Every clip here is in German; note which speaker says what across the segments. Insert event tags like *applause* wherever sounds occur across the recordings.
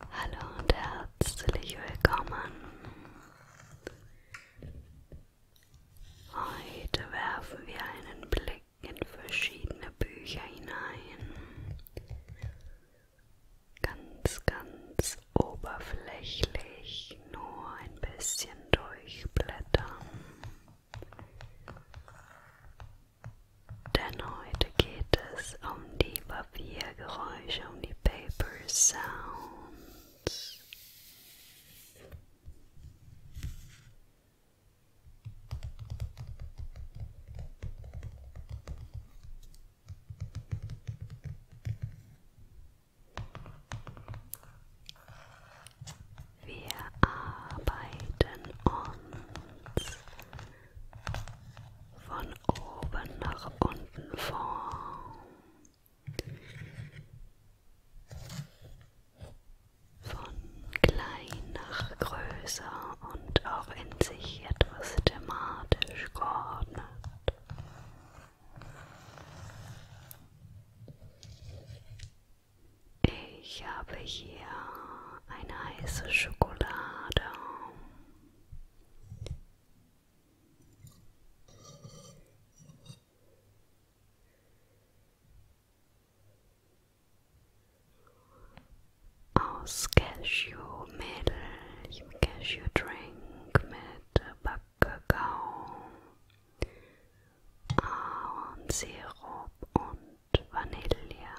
Speaker 1: Hallo und herzlich willkommen. Heute werfen wir einen Blick in verschiedene Bücher hinein. Ganz, ganz oberflächlich, nur ein bisschen durchblättern. Denn heute geht es um die Klaviergeräusche um only Paper Sounds. Wir arbeiten uns von oben nach unten vor. Von klein nach größer und auch in sich etwas thematisch geordnet. Ich habe hier eine heiße Schokolade. Aus Cashewmehl, ich habe Cashew-Drink mit Backkakao und Sirup und Vanille.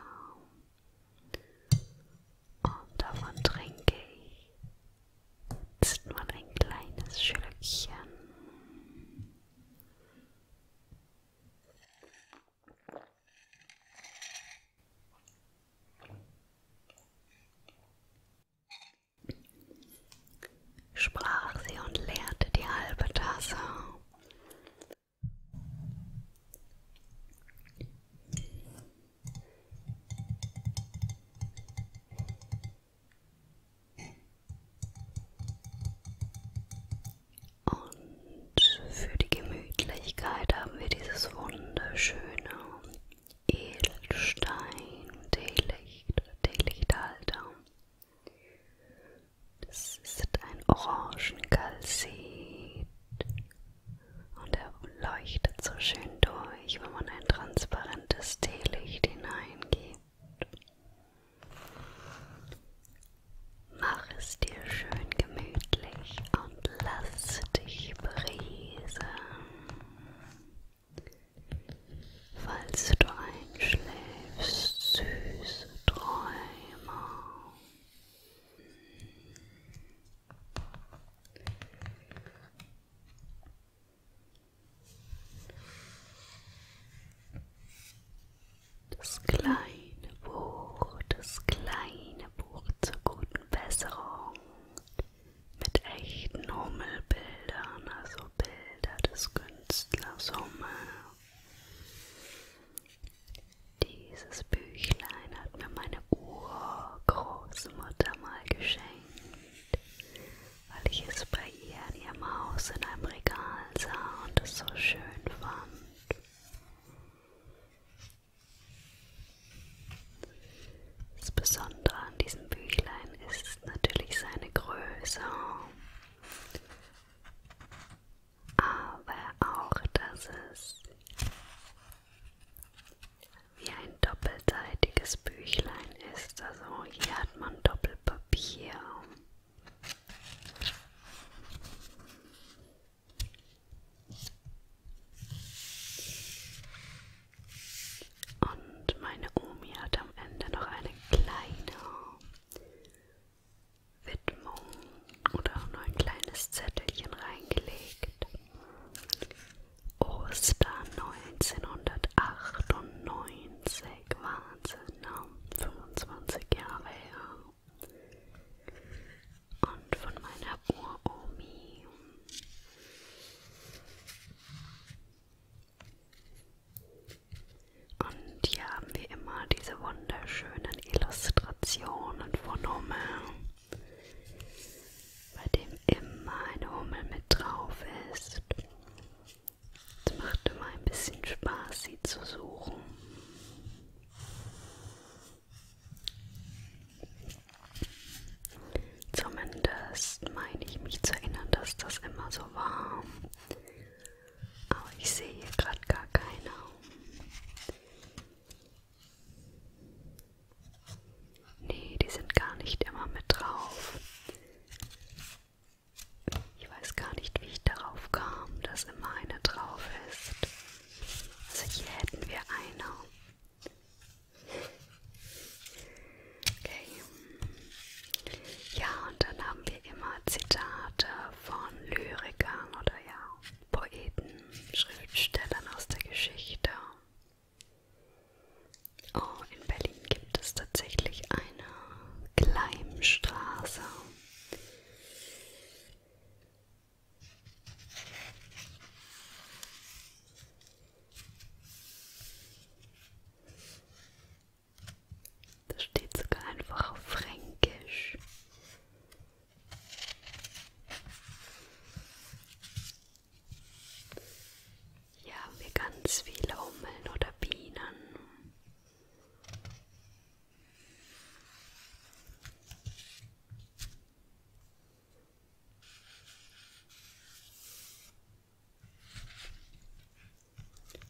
Speaker 1: Und davon trinke ich Jetzt nur ein kleines Schlückchen. Sprach sie und leerte die halbe Tasse. Und für die Gemütlichkeit haben wir dieses wunderschöne Edelstein-Teelicht, Teelichthalter. Das ist ein Orangencalcit und er leuchtet so schön durch, wenn man ein transparentes Teelicht hineingibt. Mach es dir schön gemütlich und lass dich berieseln. Falls du einschläfst, süße Träume. Das kleine Buch, das kleine Buch zur guten Besserung mit echten Hummelbildern, also Bilder des Künstlers Hummel. Dieses Büchlein hat mir meine Urgroßmutter mal geschenkt weil ich es bei ihr in ihrem Haus in einem Regal sah und es so schön fand. Das Besondere an diesem Büchlein ist natürlich seine Größe, aber auch, dass es wie ein doppelseitiges Büchlein ist. Also hier hat man Doppelpapier. Und meine Omi hat am Ende noch eine kleine Widmung oder noch ein kleines Zettelchen reingelegt. Ostern 1998, Wahnsinn, ne? 25 Jahre her. Und von meiner Uromi. Und hier haben wir immer diese wunderschönen Illustrationen von Hummel bei dem immer eine Hummel mit drauf ist. Es macht immer ein bisschen Spaß, sie zu suchen. Zumindest meine ich mich zu erinnern, dass das immer so war. Aber ich sehe hier gerade gar keiner. Nee, die sind gar nicht immer mit drauf. Ich weiß gar nicht, wie ich darauf kam, dass immer eine drauf ist. Also hier hätten wir eine. Okay. Ja, und dann haben wir immer Zitate von Lyrikern oder ja, Poeten, Schriftstellern aus der Geschichte. Oh, in Berlin gibt es tatsächlich eine Gleimstraße. Das steht sogar einfach auf Fränkisch. Hier haben wir ganz viele Hummeln oder Bienen.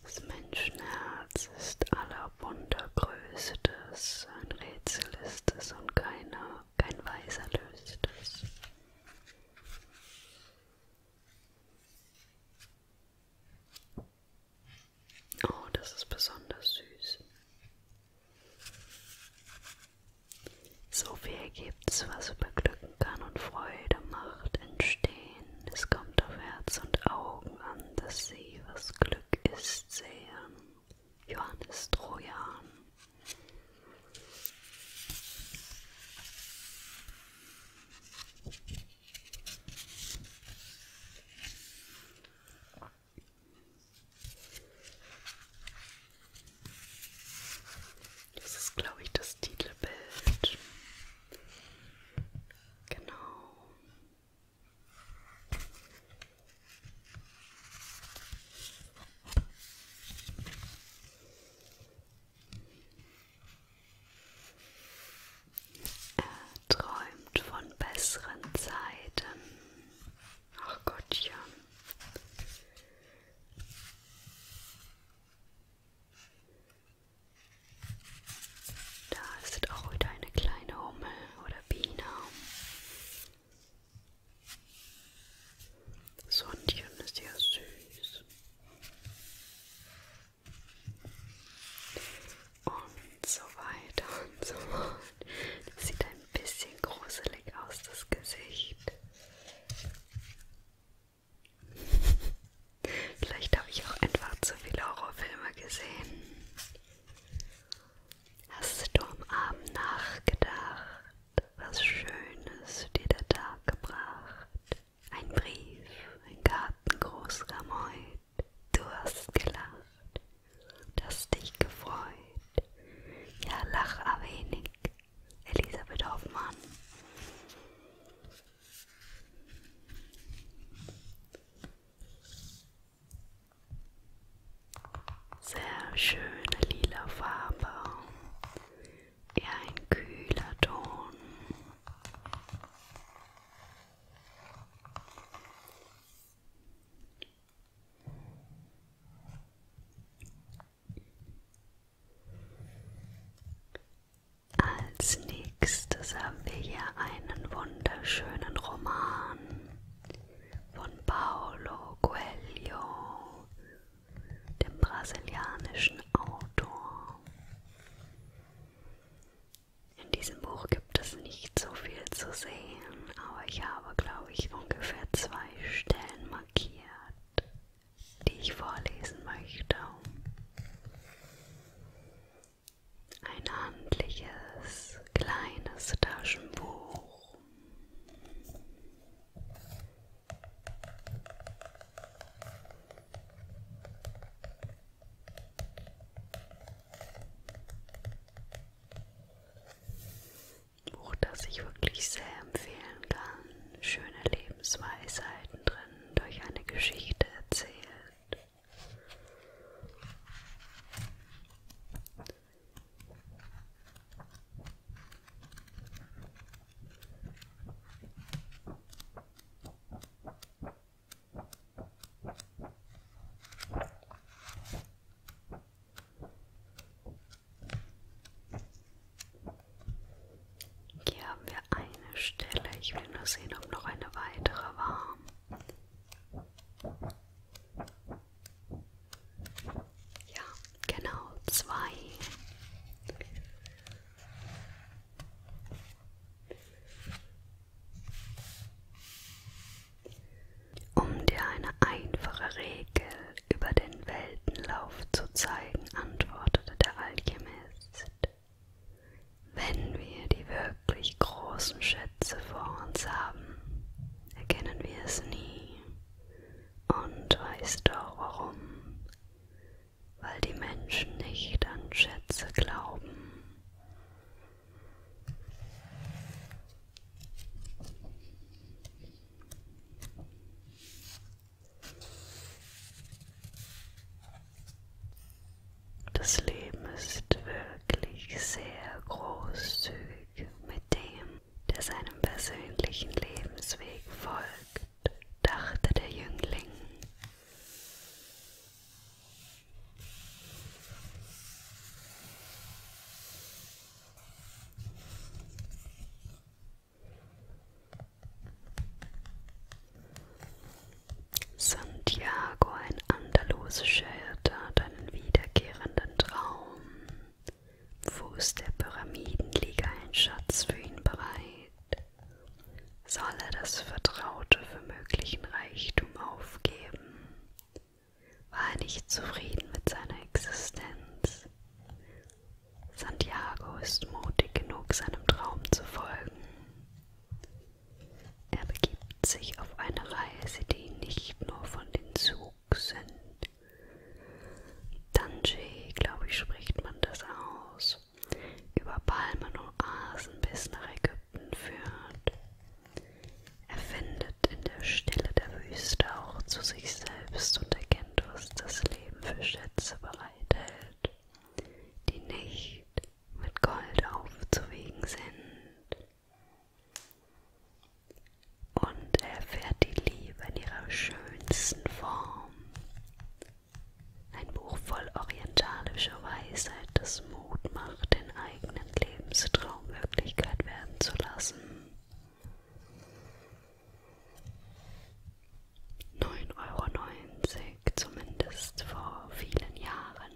Speaker 1: Das Menschenherz ist aller Wunder Größe des, ein Rätsel ist es und keiner, kein Weiser löst es. Oh, das ist besonders süß. So viel gibt's, was beglücken kann und Freude macht entstehen. Es kommt auf Herz und Augen an, dass sie, was Glück ist, sehen. Johannes Trojan. Das ist, glaube ich, das Titelbild. Genau. Er träumt von besseren Zeiten. Ach Gottchen. Da ist auch wieder eine kleine Hummel oder Biene. Sondchen ist ja süß. Und so weiter und so fort. Das sieht ein bisschen gruselig aus, das Gesicht. Vielleicht habe ich auch einfach zu viele Horrorfilme gesehen. Hast du am Abend nachgedacht, was Schönes dir der Tag gebracht. Ein Brief, ein Gartengroß Rameut, du hast gelacht, das dich gefreut. Ja, lach a wenig, Elisabeth Hoffmann. Sehr schöne lila Farbe eher ein kühler Ton. Als nächstes haben wir hier einen wunderschönen Roman von Paolo Coelho dem brasilianischen Autor. In diesem Buch gibt es nicht so viel zu sehen, aber ich habe, glaube ich, ungefähr zwei Stellen markiert, die ich vorlesen möchte. Ein handliches, kleines Taschenbuch. Buch, das ich wirklich sehr empfehlen kann. Schöne Lebensweisheiten drin, durch eine Geschichte erzählt. Hier haben wir eine Stelle. Ich will nur sehen, ob noch eine weitere war. Ja, Genau, zwei. Um dir eine einfache Regel über den Weltenlauf zu zeigen, antwortete der Alchemist. Wenn wir die wirklich großen Schätze vor uns haben, erkennen wir es nie. Und weißt du auch warum? weil die Menschen nicht an Schätze glauben. Das Leben ist wirklich sehr großzügig mit dem, der seinem persönlichen Lebensweg folgt dachte der Jüngling. Santiago, ein andalusischer Hirte, hat einen wiederkehrenden Traum. Fuß der Pyramidenliga ein Schatz für ihn bereit soll er das Vertraute für möglichen Reichtum aufgeben? War er nicht zufrieden mit seiner Existenz? Santiago ist mutig genug, seinem Traum zu folgen. Er begibt sich auf eine Reise, die nicht nur von den Zugsünden, Danji, glaube ich, spricht man das aus, über Palmen und Asen bis nach Ägypten führt. Er findet in der Stille der Wüste auch zu sich selbst und erkennt, was das Leben für Schätze bereithält, die nicht mit Gold aufzuwiegen sind. Und er erfährt die Liebe in ihrer schönsten Form. Ein Buch voll orientalischer Weisheit, das Mut macht, den eigenen Lebenstraum Wirklichkeit werden zu lassen. 9,90 Euro, zumindest vor vielen Jahren.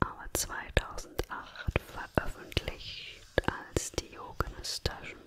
Speaker 1: aber 2008 veröffentlicht als Diogenes Taschenbuch.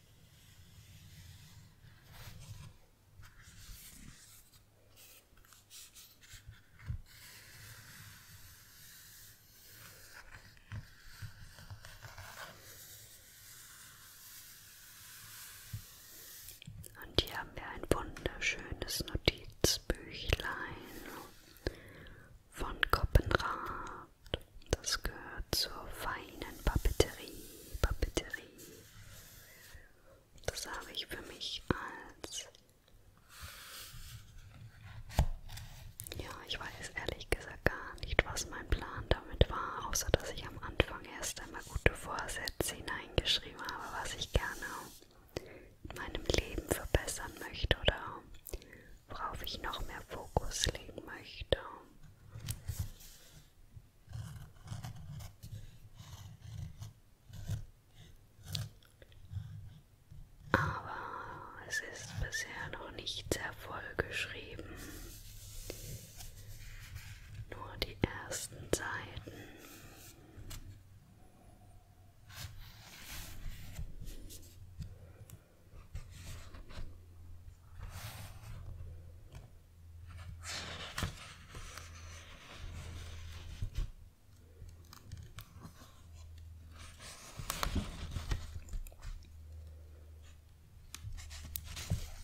Speaker 1: Und hier haben wir ein wunderschönes Notizbüchlein von Koppenrad. Das gehört zur feinen Papeterie. Papeterie. Das habe ich für mich als... Ja, ich weiß ehrlich gesagt gar nicht, was mein Plan damit war, außer dass ich am Anfang erst einmal gute Vorsätze hineingeschrieben habe, was ich gerne in meinem Leben verbessern möchte oder worauf ich noch mehr Fokus legen möchte. Aber es ist bisher noch nicht sehr voll geschrieben. Nur die ersten Seiten.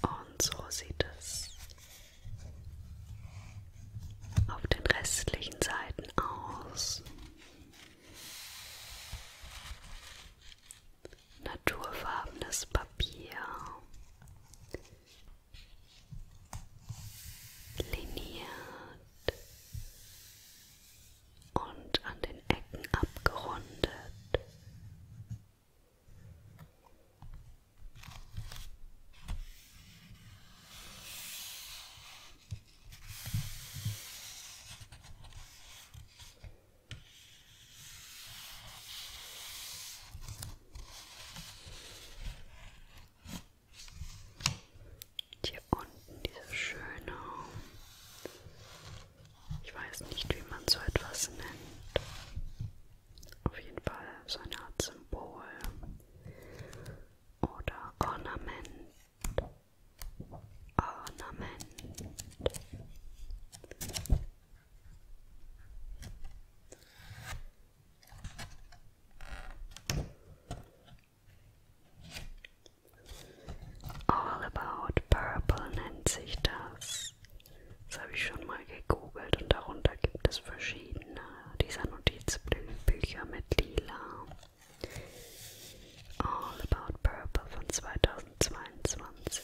Speaker 1: Und so sieht es auf den restlichen Seiten aus naturfarbenes Papier, liniert und an den Ecken abgerundet. Und hier unten diese schöne, ich weiß nicht, wie man so etwas nennt. Auf jeden Fall so eine Art Symbol oder Ornament. Ornament. All About Purple nennt sich das. Das habe ich schon mal gegoogelt und darunter gibt es verschiedene dieser Notizbücher mit Lila. All About Purple von 2022.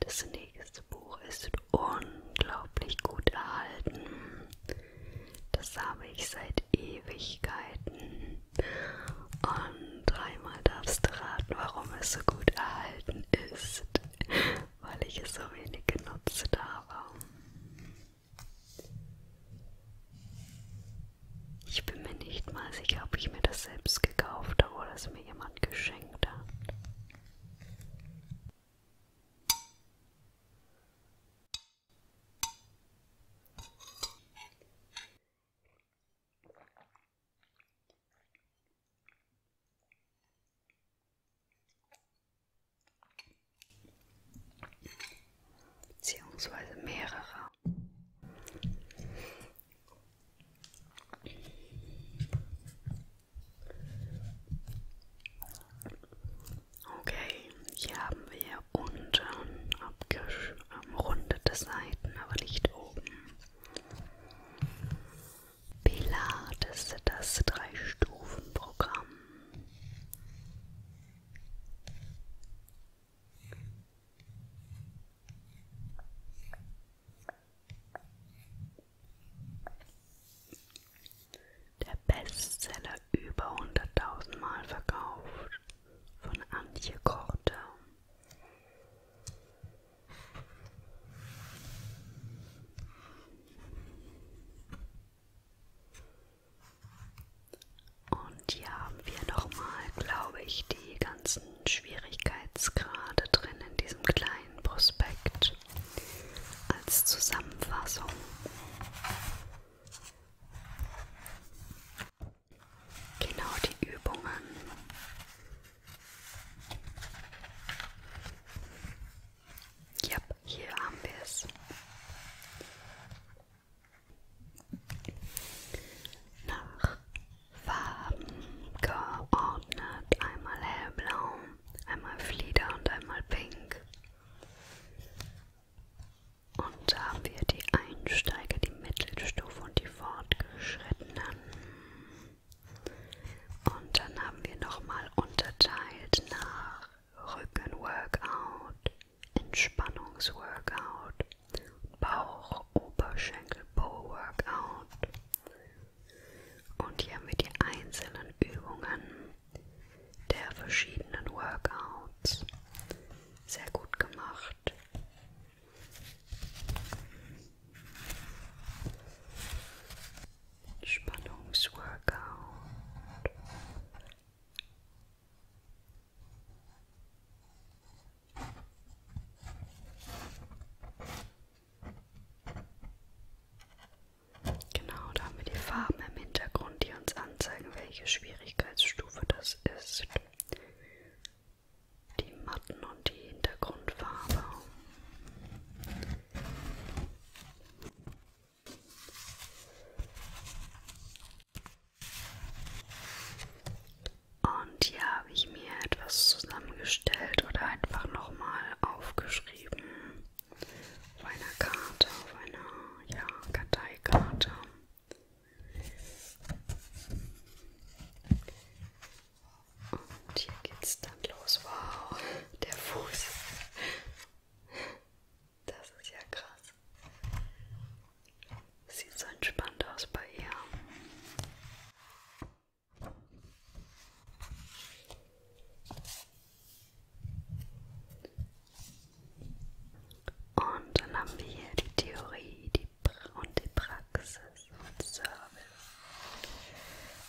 Speaker 1: Das nächste Buch ist unglaublich gut erhalten. Das habe ich seit Ewigkeiten. Und dreimal darfst du raten, warum es so gut erhalten ist weil ich es so wenig genutzt habe. Ich bin mir nicht mal sicher, ob ich mir das selbst gekauft habe oder es mir jemand geschenkt hat beziehungsweise mehrere. Okay, hier haben wir unten abgerundete ähm, Seiten, aber nicht oben. Pilates, das Drei-Stufen-Programm. Der Bestseller über 100.000 Mal verkauft von Antje Korte. Und hier haben wir nochmal, glaube ich, die ganzen Schwierigkeitsgrade drin in diesem kleinen Prospekt als Zusammenfassung. Genau die Übungen. Ja, yep, hier haben wir es. Nach Farben geordnet. Einmal hellblau, einmal Flieder und einmal pink. Und da haben wir die Einsteiger, die Mittelstufe und die Fortgeschrittenen. Und dann haben wir nochmal unterteilt nach Rücken-Workout, Entspannungs-Workout, Bauch-Oberschenkel-Po-Workout. Und hier haben wir die einzelnen Übungen der verschiedenen Workouts. Sehr gut gemacht. Entspannungsworkout. Genau, da haben wir die Farben im Hintergrund, die uns anzeigen, welche Schwierigkeitsstufe das ist. Die Matten und die Hintergrundfarbe. Und hier habe ich mir etwas zusammengestellt oder einfach nochmal aufgeschrieben auf einer Karte, auf einer ja, Karteikarte. Und hier geht's dann los. Wow, der Fuß. Das ist ja krass. Sieht so entspannt aus bei ihr. Und dann haben wir hier die Theorie die und die Praxis und Service.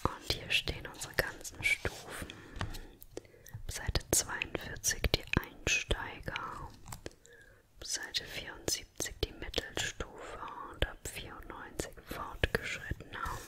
Speaker 1: Und hier stehen unsere ganzen Stufen. Seite 42 die Einsteiger, Seite 74 die Mittelstufe und ab 94 Fortgeschrittener.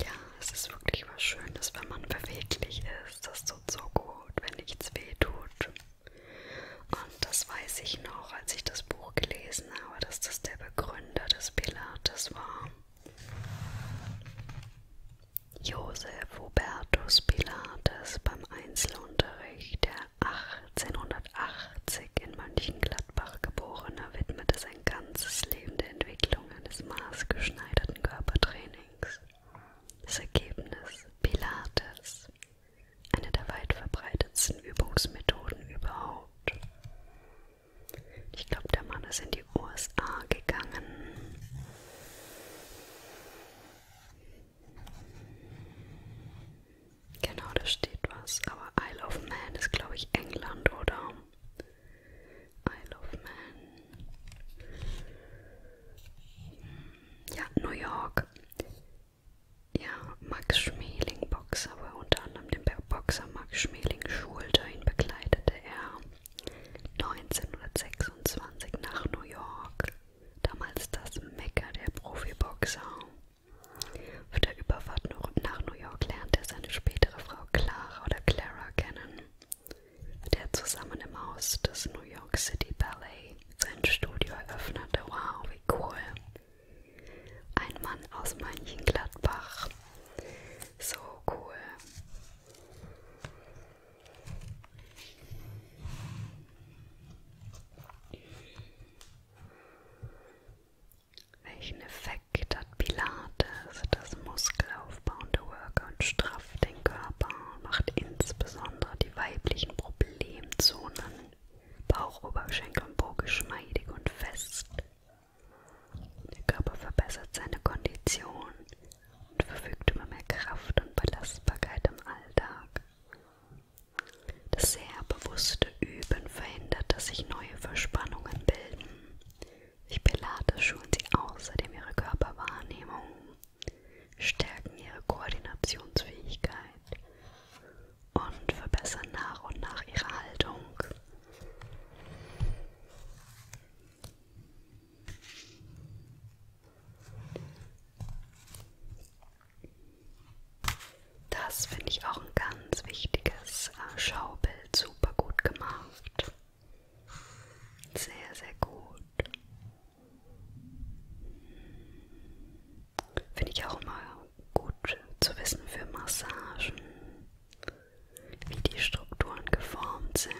Speaker 1: Ja, es ist wirklich was Schönes, wenn man beweglich ist. Das tut so gut, wenn nichts weh tut. Und das weiß ich noch, als ich das Buch gelesen habe, dass das der Begründer des Pilates war. Josef Hubertus Pilates beim Einzelunterricht, der 1880 in Mönchengladbach geborene, widmete sein ganzes Leben der Entwicklung eines maßgeschneiderten Körpertrainings. Das Ergebnis Pilates, eine der weit verbreitetsten Übungsmethoden überhaupt. Ich glaube, der Mann ist in die USA gegangen. Genau, da steht was. Aber Isle of Man ist, glaube ich, England, oder? Isle of Man. Ja, New York. Ja, Max Schmeling, Boxer, wo er unter anderem den Boxer Max Schmeling schulte. Ihn begleitete er 1926 nach New York. Damals das Mekka der Profiboxer. Auf der Überfahrt nach New York lernt er seine spätere Frau Clara oder Clara kennen, mit der zusammen im Haus des New York City Ballet sein Studio eröffnete. Wow, wie cool! Ein Mann aus Mönchengladbach. So cool. Welchen Effekt hat Pilates? Das muskelaufbauende Workout strafft den Körper und macht insbesondere die weiblichen Problemzonen, Bauch, Oberschenkel und Po geschmeidig und fest. Der Körper verbessert seine Kondition und verfügt über mehr Kraft und Belastbarkeit im Alltag. Das sehr bewusste bewusste Üben verhindert, dass sich neue Verspannungen bilden. Durch Pilates schulen sie außerdem ihre Körperwahrnehmung, stärken ihre Koordinationsfähigkeit und verbessern nach und nach ihre Haltung. Das finde ich auch ein ganz wichtiges äh, Schaubild, super gut gemacht. Sehr, sehr gut. Finde ich auch immer gut zu wissen für Massagen, wie die Strukturen geformt sind.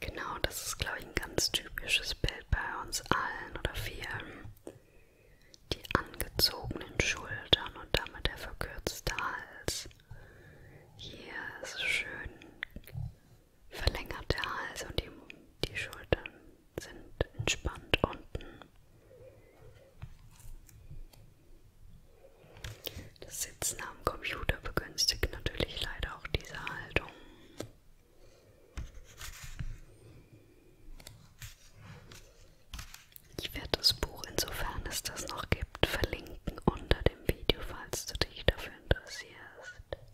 Speaker 1: Genau, das ist, glaube ich, ein ganz typisches Bild bei uns allen oder vielen. Die angezogenen Schultern und damit der verkürzte Hals. Hier ist schön verlängert der Hals und die, die Schultern sind entspannt unten. Das Sitzen am Computer begünstigt natürlich leider auch diese Haltung. Ich werde das Buch, insofern es das noch gibt, verlinken unter dem Video, falls du dich dafür interessierst macht.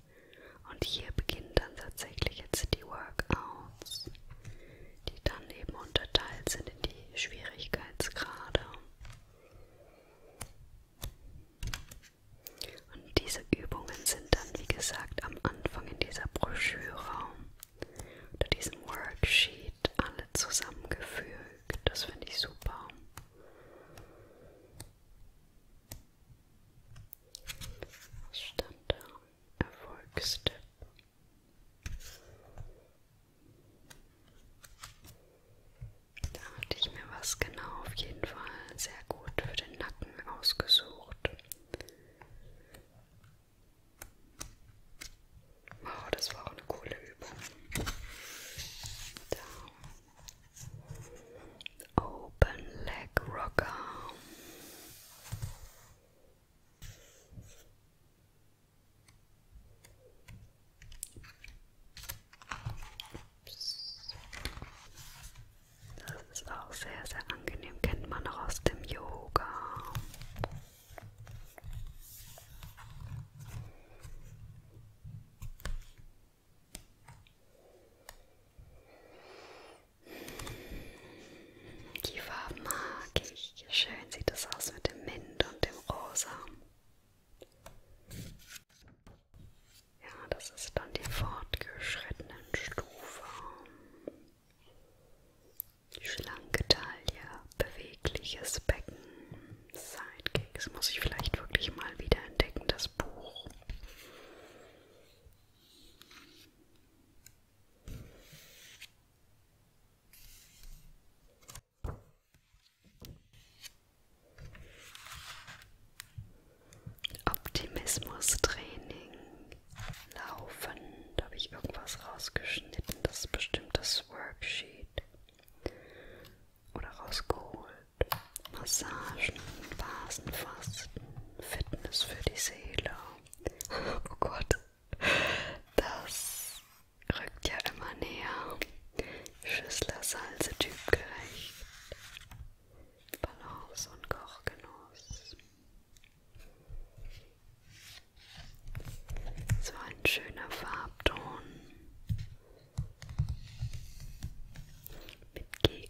Speaker 1: Und hier beginnen dann tatsächlich jetzt die Workouts, die dann eben unterteilt sind in die Schwierigkeitsgrade. Und diese Übungen sind dann, wie gesagt, am Anfang in dieser Broschüre unter diesem Worksheet alle zusammengefügt. Das finde ich super. Was stand da? Erfolgstipp. Da hatte ich mir was genau auf jeden Fall sehr gut für den Nacken ausgesucht. Wow, das war auch eine coole Übung. Da open leg rock Ups. Das ist auch sehr, sehr angenehm, kennt man auch Yoga. Die Farben mag ich. Schön sieht es aus mit dem Mint und dem Rosa. Ja, das ist dann die fortgeschrittenen Stufe. Schlanke Taille, bewegliches Becken, Sidekicks. Muss ich vielleicht wirklich mal wieder entdecken, das Buch. Optimismustraining laufen. Da habe ich irgendwas rausgeschnitten. Das ist bestimmt das Worksheet. Oder rausgeholt. Massagen, Vasenfasten. Fitness für die Seele. *laughs* Oh Gott, das rückt ja immer näher. Schüssler Salze typgerecht. Balance und Kochgenuss. So ein schöner Farbton. Mit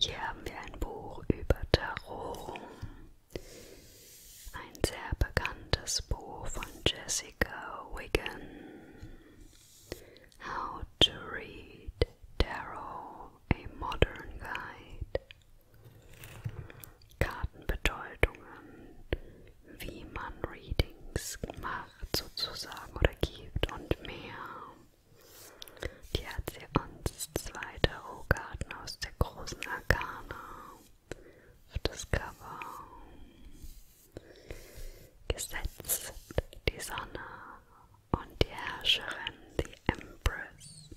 Speaker 1: Hier haben wir ein Buch über Tarot. Ein sehr bekanntes Buch von Jessica Wiggin. How to Read Tarot, a Modern Guide. Kartenbedeutungen, wie man Readings macht sozusagen oder gibt und mehr. Die hat sie uns zwei Tarotkarten aus der großen Arkana auf das Cover gesetzt. Die Sonne und die Herrscherin, die Empress.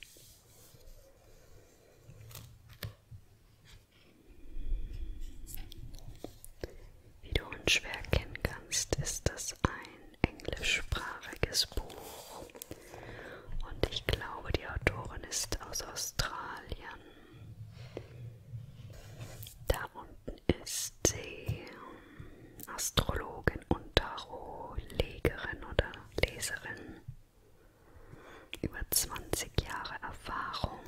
Speaker 1: Wie du unschwer erkennen kannst, ist das ein englischsprachiges Buch. Und ich glaube, die Autorin ist aus Australien. Da unten ist sie Astrologin und Tarotlegerin oder Leserin. Über 20 Jahre Erfahrung.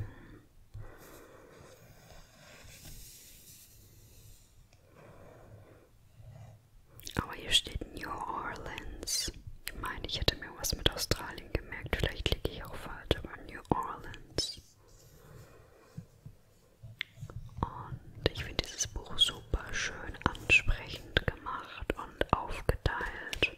Speaker 1: Aber hier steht New Orleans. Ich meine, ich hätte mir was mit Australien gemerkt. Vielleicht liege ich auch falsch, aber New Orleans. Und ich finde dieses Buch super schön ansprechend gemacht und aufgeteilt.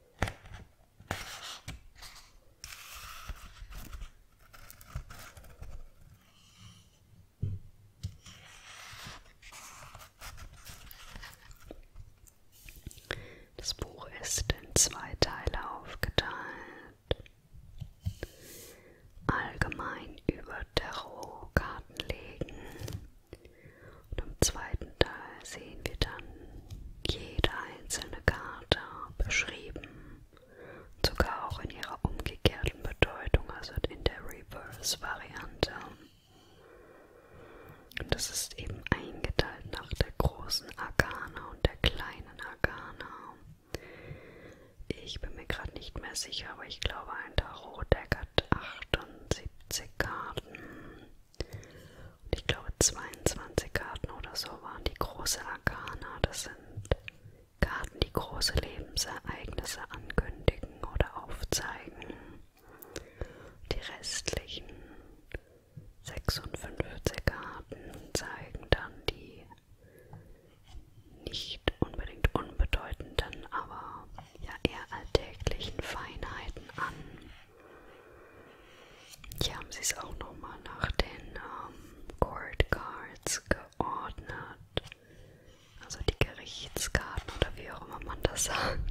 Speaker 1: Das Buch ist in zwei Teile aufgeteilt. Allgemein über Tarotkartenlegen und im zweiten Teil sehen wir dann jede einzelne Karte beschrieben, sogar auch in ihrer umgekehrten Bedeutung, also in der Reverse-Variante. Und das ist eben eingeteilt nach der großen Arkana und der kleinen Arkana. Ich bin mir gerade nicht mehr sicher, aber ich glaube, ein Tarot-Deck hat 78 Karten. Und ich glaube 22 Karten oder so waren die große Arkana. Das sind Karten, die große Lebensereignisse ankündigen oder aufzeigen. Die restlichen 56 Karten zeigen dann die nicht unbedingt unbedeutenden, aber ja eher alltäglichen Feinheiten an. Hier haben sie es auch nochmal nach den ähm, Court Cards geordnet. Also die Gerichtskarten oder wie auch immer man das sagt.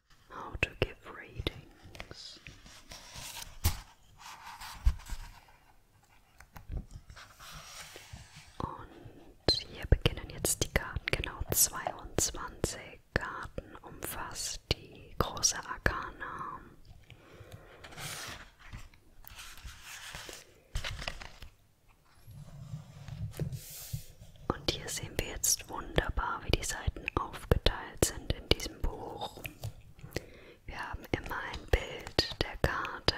Speaker 1: how to give readings. Und hier beginnen jetzt die Karten, genau 22 Karten umfasst die große Arkana. Und hier sehen wir jetzt wunderbar, wie die Seiten aufgeteilt sind in diesem Buch. Wir haben immer ein Bild der Karte.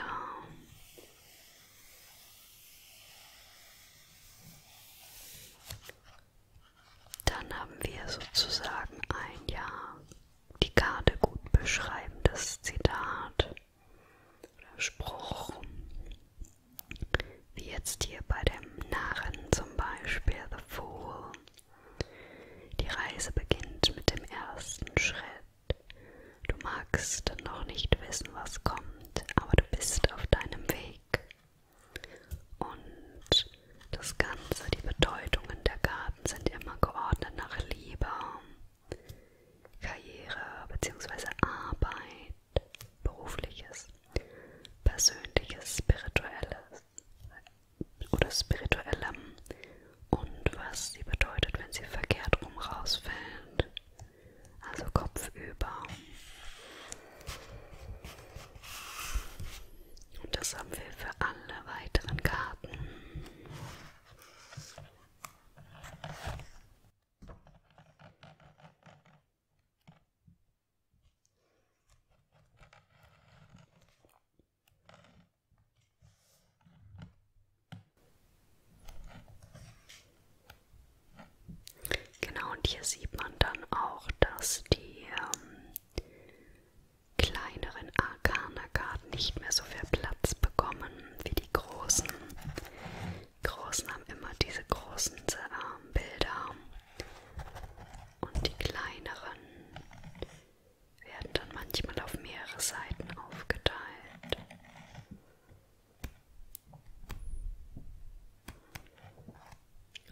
Speaker 1: Dann haben wir sozusagen ein ja die Karte gut beschreibendes Zitat oder Spruch wie jetzt hier bei dem Narren zum Beispiel The Fool. Die Reise beginnt mit dem ersten Schritt. Du magst noch nicht wissen, was kommt, aber du bist auf deinem Weg. Und das Ganze, die Bedeutungen der Karten sind immer geordnet nach Liebe, Karriere bzw. Arbeit, berufliches persönliches, spirituelles oder spirituellem und was sie bedeutet, wenn sie verkehrt rum rausfällt. Also kopfüber. Und das haben wir für alle weiteren Karten. Genau, und hier sieht man dann auch, dass die ähm, kleineren Arcana-Karten nicht mehr so viel Platz bekommen wie die großen. Die großen haben immer diese großen ähm, Bilder und die kleineren werden dann manchmal auf mehrere Seiten aufgeteilt.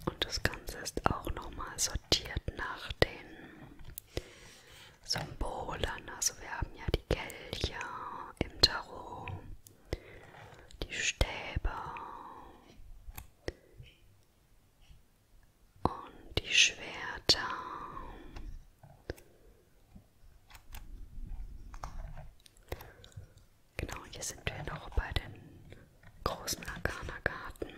Speaker 1: Und das Ganze ist auch nochmal sortiert nach den Symbolen. Also wir haben ja die Kelche im Tarot, die Stäbe, und die Schwerter. Genau, hier sind wir noch bei den großen Arcana-Karten.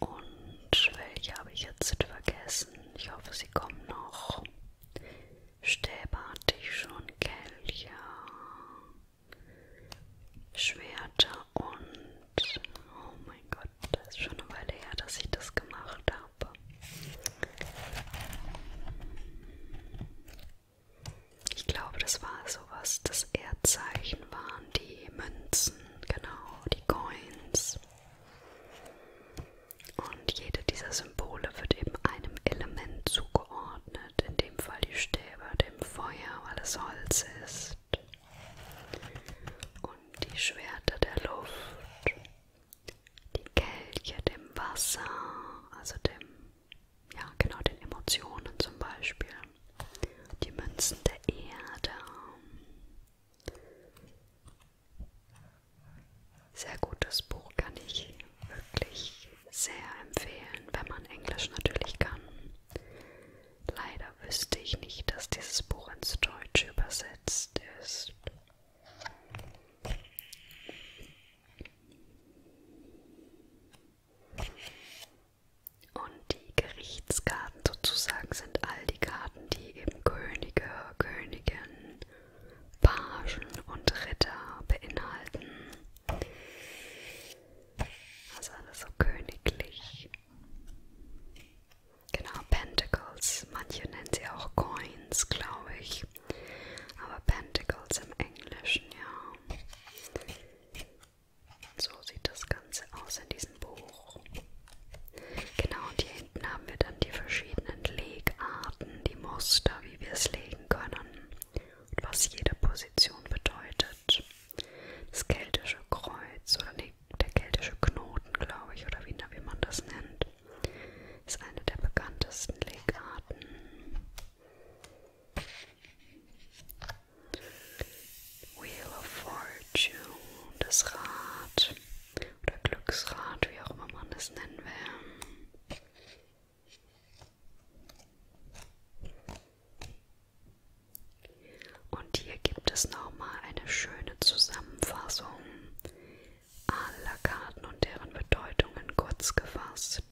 Speaker 1: Und welche habe ich jetzt vergessen? Ich hoffe, sie kommen noch. Stäbe hatte ich schon, Kelche, Schwerter und... Oh mein Gott, das ist schon eine Weile her, dass ich das gemacht habe. Ich glaube, das war sowas, das Erdzeichen waren die Münzen, genau, die Coins. Und jede dieser Symbole wird eben einem Element zugeordnet anordnet, in dem Fall die Stäbe dem Feuer, weil es Holz ist, und die Schwerter der Luft, die Kelche dem Wasser, also dem, ja genau, den Emotionen zum Beispiel, die Münzen der Erde. Sehr gutes Buch kann ich wirklich sehr empfehlen, wenn man Englisch natürlich kann. Leider wüsste ich nicht, dass dieses Buch ins Deutsche übersetzt ist. Und die Gerichtskarten sozusagen sind all die Karten, die eben Könige, Königinnen Pagen und Ritter beinhalten. Also alles so königlich. Genau, Pentacles. Manche nennen sie auch Coins, glaube ich. Aber Pentacles im Englischen, ja. So sieht das Ganze aus in diesem Buch. Genau, und hier hinten haben wir dann die verschiedenen Legarten, die Muster, wie wir es legen können und was jede Position bedeutet. Das keltische Kreuz oder nee, der keltische Knoten, glaube ich, oder wie, wie man das nennt, ist eine der bekanntesten Legarten. Wheel of Fortune, das Rad oder Glücksrad, wie auch immer man es nennen will. Und hier gibt es nochmal eine schöne Zusammenfassung aller Karten und deren Bedeutungen kurz gefasst.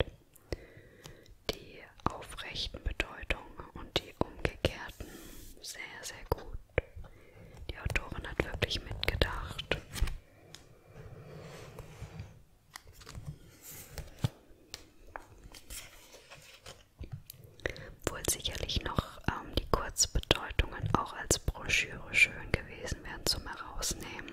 Speaker 1: Die aufrechten Bedeutungen und die umgekehrten sehr, sehr gut. Die Autorin hat wirklich mitgedacht. Wohl sicherlich noch ähm, die Kurzbedeutungen auch als Broschüre schön gewesen wären zum Herausnehmen.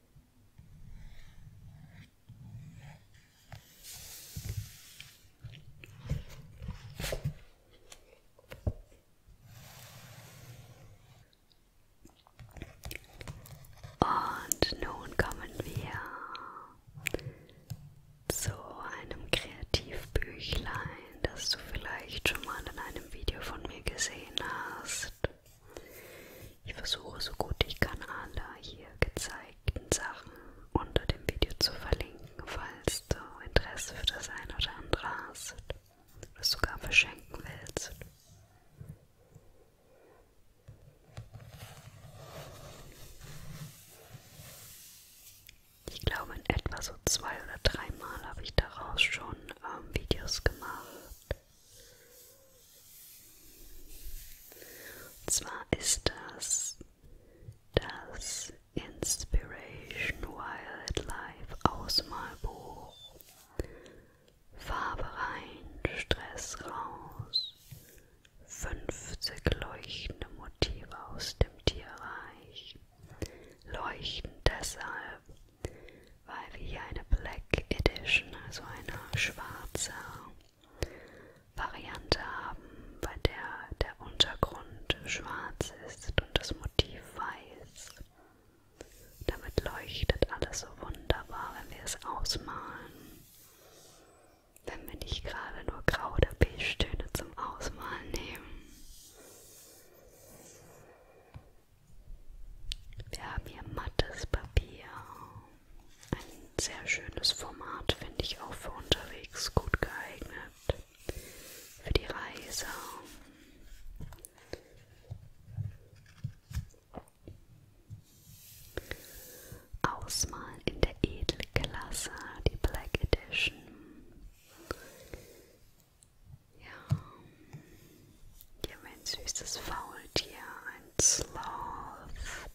Speaker 1: Und nun kommen wir zu einem Kreativbüchlein, das du vielleicht schon mal in einem Video von mir gesehen hast. Ich versuche so gut ich kann alle hier gezeigt direkten Sachen unter dem Video zu verlinken, falls du Interesse für das ein oder andere hast oder sogar verschenken willst. Ich glaube, in etwa so zwei oder dreimal habe ich daraus schon ähm, Videos gemacht. Und zwar ist das das Inspiration Wildlife Ausmalbuch. Farbe rein, Stress raus. 50 leuchtende Motive aus dem Tierreich. Leuchten deshalb, weil wir hier eine Black Edition, also eine schwarze Variante haben, bei der der Untergrund schwarz ist und das Motiv weiß. Damit leuchtet alles so wunderbar, wenn wir es ausmalen. Wenn wir nicht gerade nur Grau- oder Beige-Töne zum Ausmalen nehmen. Wir haben hier mattes Papier ein sehr schönes Format finde ich auch für unterwegs gut geeignet. Für die Reise. Ausmal in der Edelklasse, die Black Edition. Ja, hier haben wir ein süßes Faultier, ein Sloth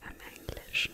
Speaker 1: im Englischen.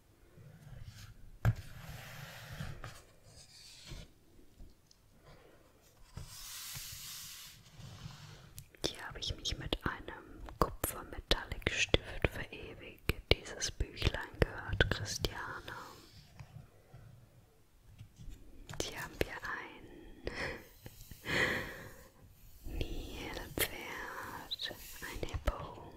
Speaker 1: Hier habe ich mich mit einem Kupfer-Metallic-Stift verewigt. Dieses Büchlein gehört Christiane. Hier haben wir ein *laughs* Nilpferd, ein Hippo,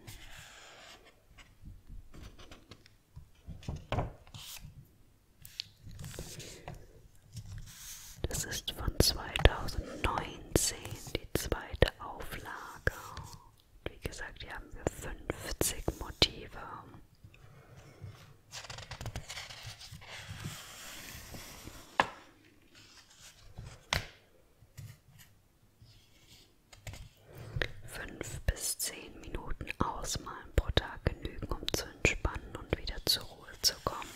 Speaker 1: das ist von 2019 die zweite Auflage. Und wie gesagt, hier haben wir 50 Motive. Fünf bis zehn Minuten ausmalen pro Tag genügen, um zu entspannen und wieder zur Ruhe zu kommen.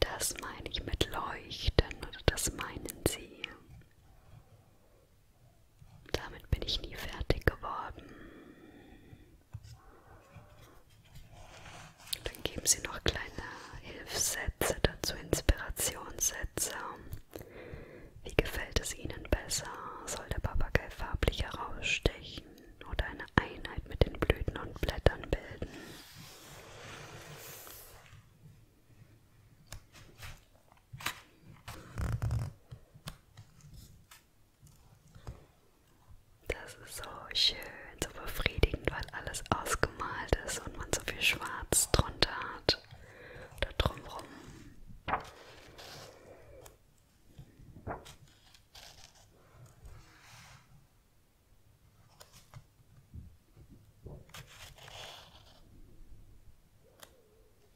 Speaker 1: Das meine ich mit leuchten oder das meinen Sie. Damit bin ich nie fertig geworden. Dann geben Sie noch kleine Hilfssätze dazu, Inspirationssätze. Wie gefällt es Ihnen besser? Soll der Papagei farblich herausstechen oder eine Einheit mit den Blüten und Blättern bilden? Das ist so schön, so befriedigend, weil alles ausgemalt ist und man so viel Schwarz drunter hat. Da drumrum.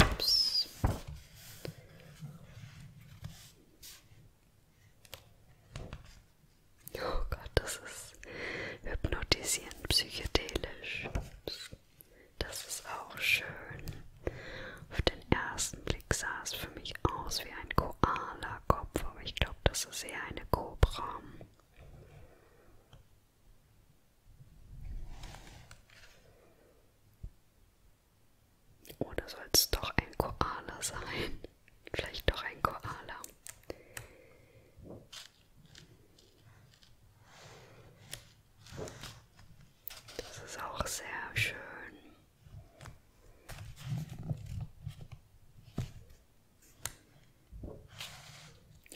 Speaker 1: Ups. Oh Gott, das ist hypnotisierend psychedelisch. Das ist auch schön. Auf den ersten Blick sah es für mich aus wie ein Koala-Kopf, aber ich glaube, das ist eher eine Kobra. Oder oh, soll es doch ein Koala sein? Vielleicht doch ein Koala. Das ist auch sehr schön.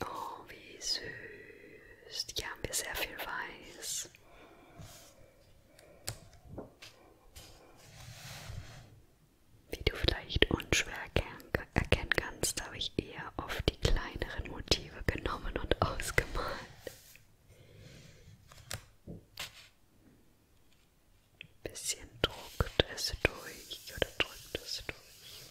Speaker 1: Oh, wie süß. Hier haben wir sehr viel Weiß. Wie du vielleicht unschwer erkennen kannst, habe ich eher oft die kleineren Motive genommen und *laughs* ausgemalt. Ein bisschen druckt es durch oder drückt es durch.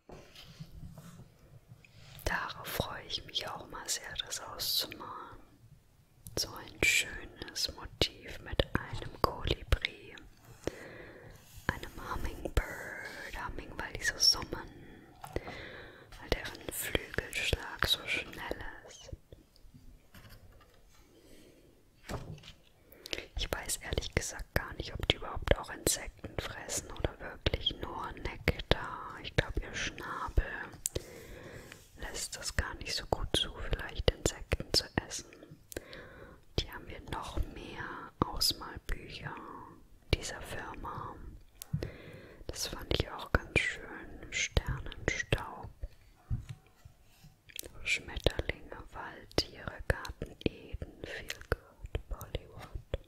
Speaker 1: Darauf freue ich mich auch mal sehr, das auszumalen. So ein schönes Motiv mit einem Kolibri, einem Hummingbird, Humming, weil die so summen, weil deren Flügelschlag so schnell ist. Ich weiß ehrlich gesagt gar nicht, ob die überhaupt auch Insekten Insekten fressen oder wirklich nur Nektar. Ich glaube, ihr Schnabel lässt das gar nicht so gut zu, vielleicht Insekten zu essen. Die haben wir noch mehr Ausmalbücher dieser Firma. Das fand ich auch ganz schön. Sternenstaub. Schmetterlinge, Waldtiere, Garten Eden, viel gehört, Bollywood.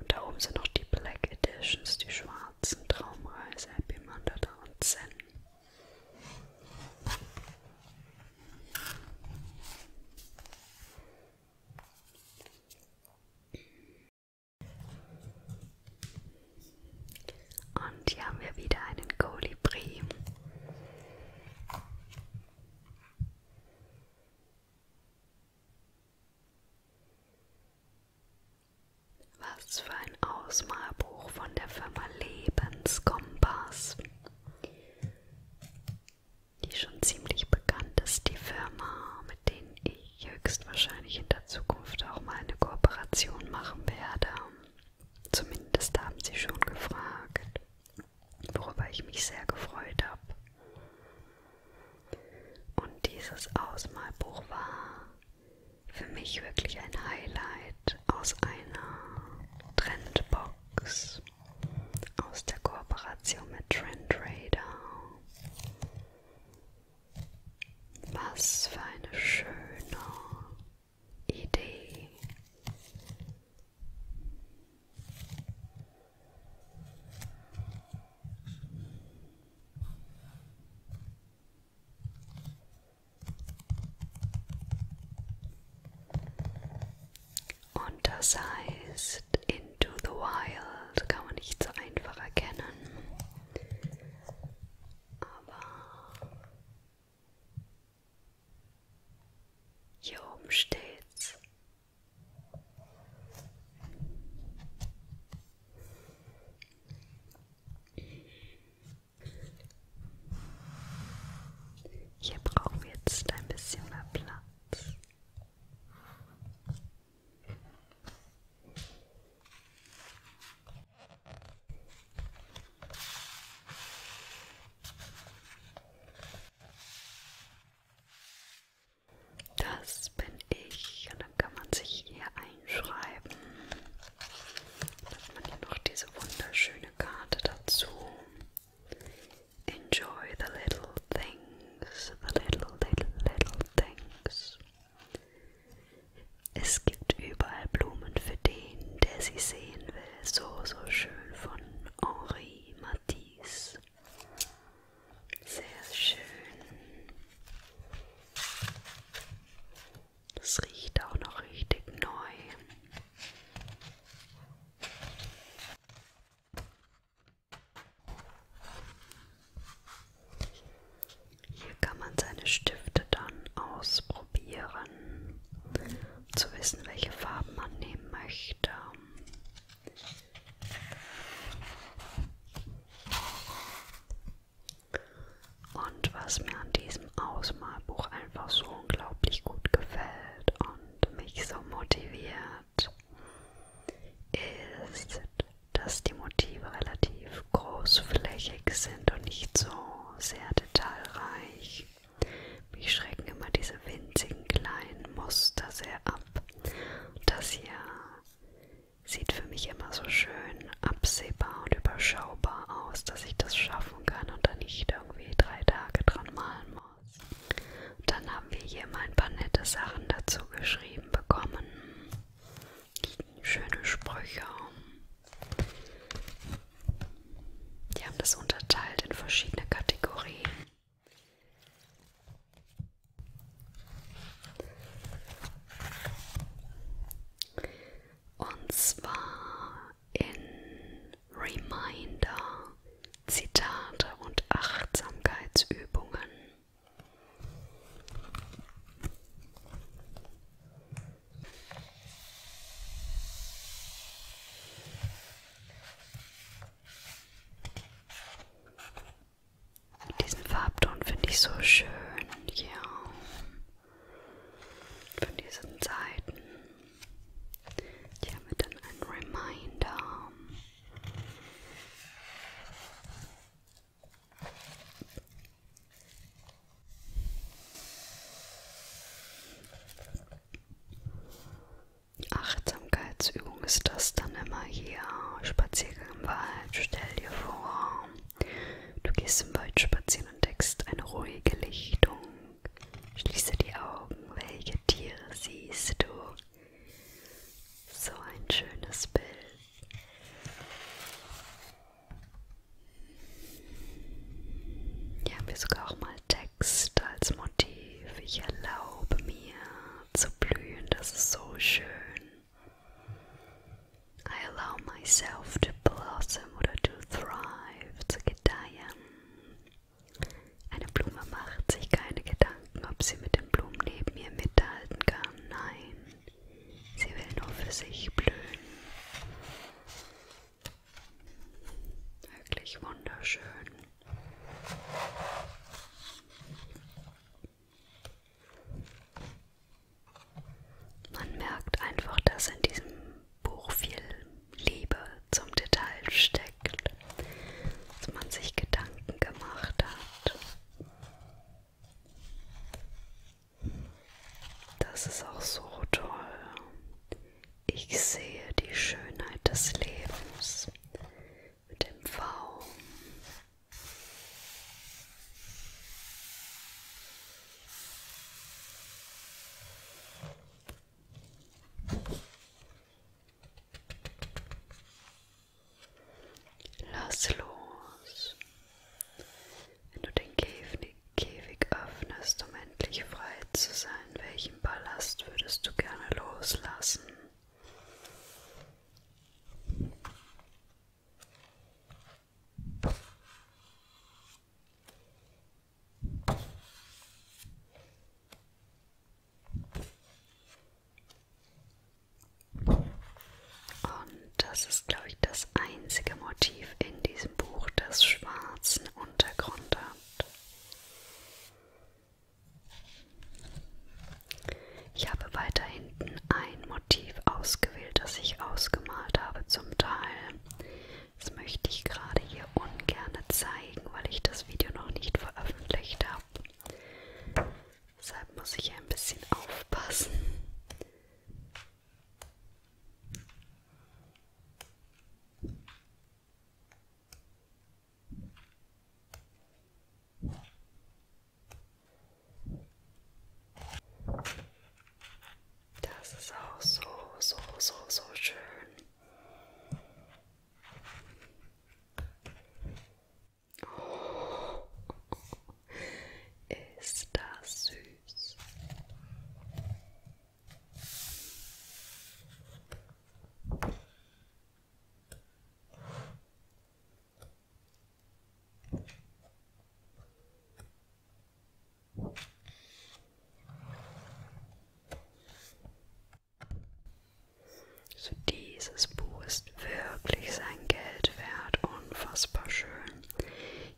Speaker 1: Und da oben sind noch die Black Editions, die schwarzen Traumreise, Happy Mandata und Zen. Und hier haben wir wieder einen Kolibri. Was für ein Ausmalbuch von der Firma Lebenskompass. Die schon ziemlich bekannt ist, die Firma, mit denen ich höchstwahrscheinlich in der Zukunft auch mal eine Kooperation machen werde. Zumindest haben sie schon gefragt, worüber ich mich sehr gefreut habe. Und dieses Ausmalbuch war für mich wirklich ein Highlight aus einer Trendbox aus der Kooperation mit Trendrader. Was für eine schöne Idee. Und das heißt, Into the Wild kann man nicht so einfach erkennen. Aber hier oben steht's. Hier brauchen wir jetzt ein bisschen mehr Platz. Das bin ich. Und dann kann man sich hier einschreiben. Dann hat man hier noch diese wunderschöne Karte dazu. Enjoy the little things. The little, little, little things. Es gibt überall Blumen für den, der sie sehen will. So, so schön von Henri Matisse. Sehr schön. Das riecht auch noch richtig neu. Hier kann man seine Stifte dann ausprobieren, um zu wissen, welche Farben man nehmen möchte. Und was mir an diesem Ausmalbuch einfach so unglaublich gut gefällt und mich so motiviert, ist, dass die Motive relativ großflächig sind und nicht so sehr detailreich. Mich schrecken immer diese winzigen kleinen Muster sehr ab. Das hier sieht für mich immer so schön absehbar und überschaubar aus, dass ich das schaffen kann und dann nicht irgendwie drei Tage dran malen muss. Und dann haben wir hier mal ein paar nette Sachen dazu geschrieben bekommen. Schöne Sprüche. Die haben das unterteilt in verschiedene Kategorien. Und zwar in Reminder, Zitate und Achtsamkeitsübungen. Diesen Farbton finde ich so schön hier ja. von diesen Seiten. Hier haben wir dann einen Reminder. Achtsam Achtsamkeitsübung ist das dann immer hier. Spaziergang im Wald. Stell dir vor, du gehst im Wald spazieren und deckst eine ruhige Lichtung. Schließe die Augen. Welche Tiere siehst du? So ein schönes Bild. Hier haben wir sogar auch mal Text als Motiv. Ich erlaube mir zu blühen. Das ist so schön. I allow myself to blossom oder to thrive, zu gedeihen. Eine Blume macht sich keine Gedanken, ob sie mit den Blumen neben ihr mithalten kann. Nein, sie will nur für sich blühen. Wirklich wunderschön. Man merkt einfach, dass in diesem Buch viel Liebe zum Detail steckt, dass man sich Gedanken gemacht hat. Das ist auch so toll. Ich sehe die Schönheit des Lebens mit dem V Lass los. Wenn du den Käfig öffnest, um endlich frei zu sein, welchen Ballast würdest du gerne loslassen? Und das ist, glaube ich, das einzige Motiv in diesem Buch, das schwarzen Untergrund hat. Ich habe weiter hinten ein Motiv ausgewählt, das ich ausgemalt habe zum Teil. Das möchte ich gerade hier ungern zeigen, weil ich das Video noch nicht veröffentlicht habe. Deshalb muss ich ein bisschen aufpassen. Das ist auch so, so, so, so schön. Oh, ist das süß. So dieses Buch ist wirklich sein Geld wert, unfassbar schön.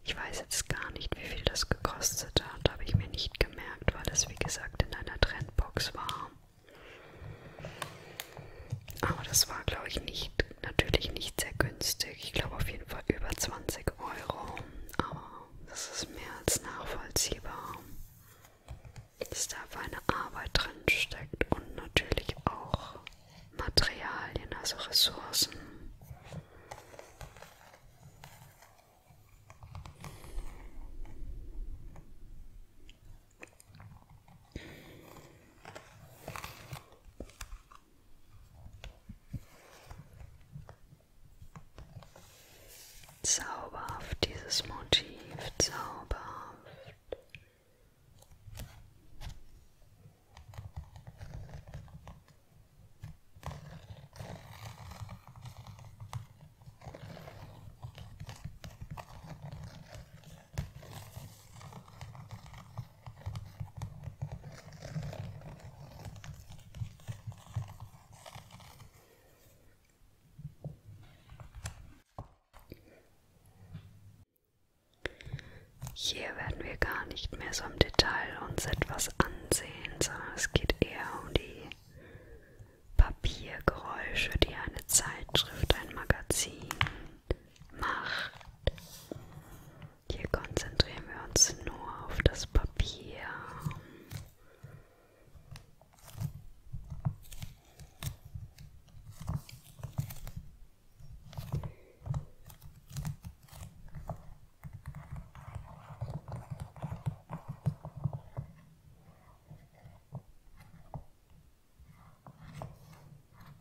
Speaker 1: Ich weiß jetzt gar nicht, wie viel das gekostet hat, habe ich mir nicht gemerkt, weil es wie gesagt in einer Trendbox war. Aber das war, glaube ich, nicht, natürlich nicht sehr günstig. Ich glaube auf jeden Fall über 20 Euro. Aber das ist mehr als nachvollziehbar, dass da einfach eine Arbeit drin steckt und natürlich auch Materialien, also Ressourcen. Zauberhaft dieses Motiv, zauberhaft. Hier werden wir gar nicht mehr so im Detail uns etwas ansehen, sondern es geht eher um die Papiergeräusche, die eine Zeitschrift, ein Magazin macht. Hier konzentrieren wir uns nur auf das Papier.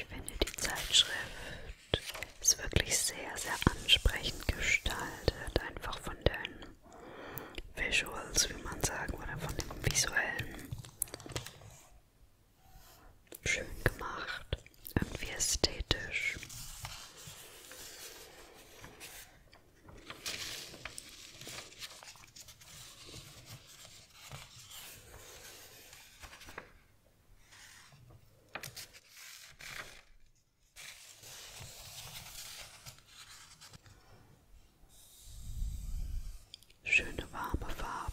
Speaker 1: Ich finde die Zeitschrift ist wirklich sehr, sehr ansprechend gestaltet, einfach von den Visuals, wie man sagen würde, von dem visuellen Schön gemacht, irgendwie ästhetisch. Schöne warme Farben.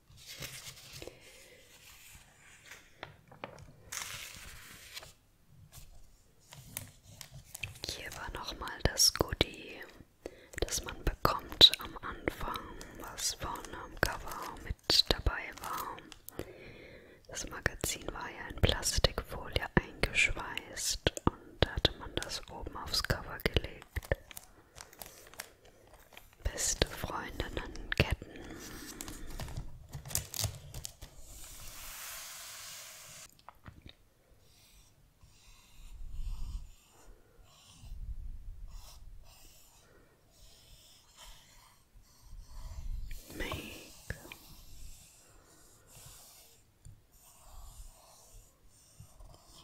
Speaker 1: Hier war nochmal das Goodie, das man bekommt am Anfang, was vorne am Cover mit dabei war. Das Magazin war ja in Plastikfolie eingeschweißt und hatte man das oben aufs Cover gelegt. Beste Freundinnenketten. Make.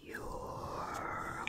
Speaker 1: Your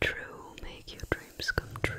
Speaker 1: True, make your dreams come true.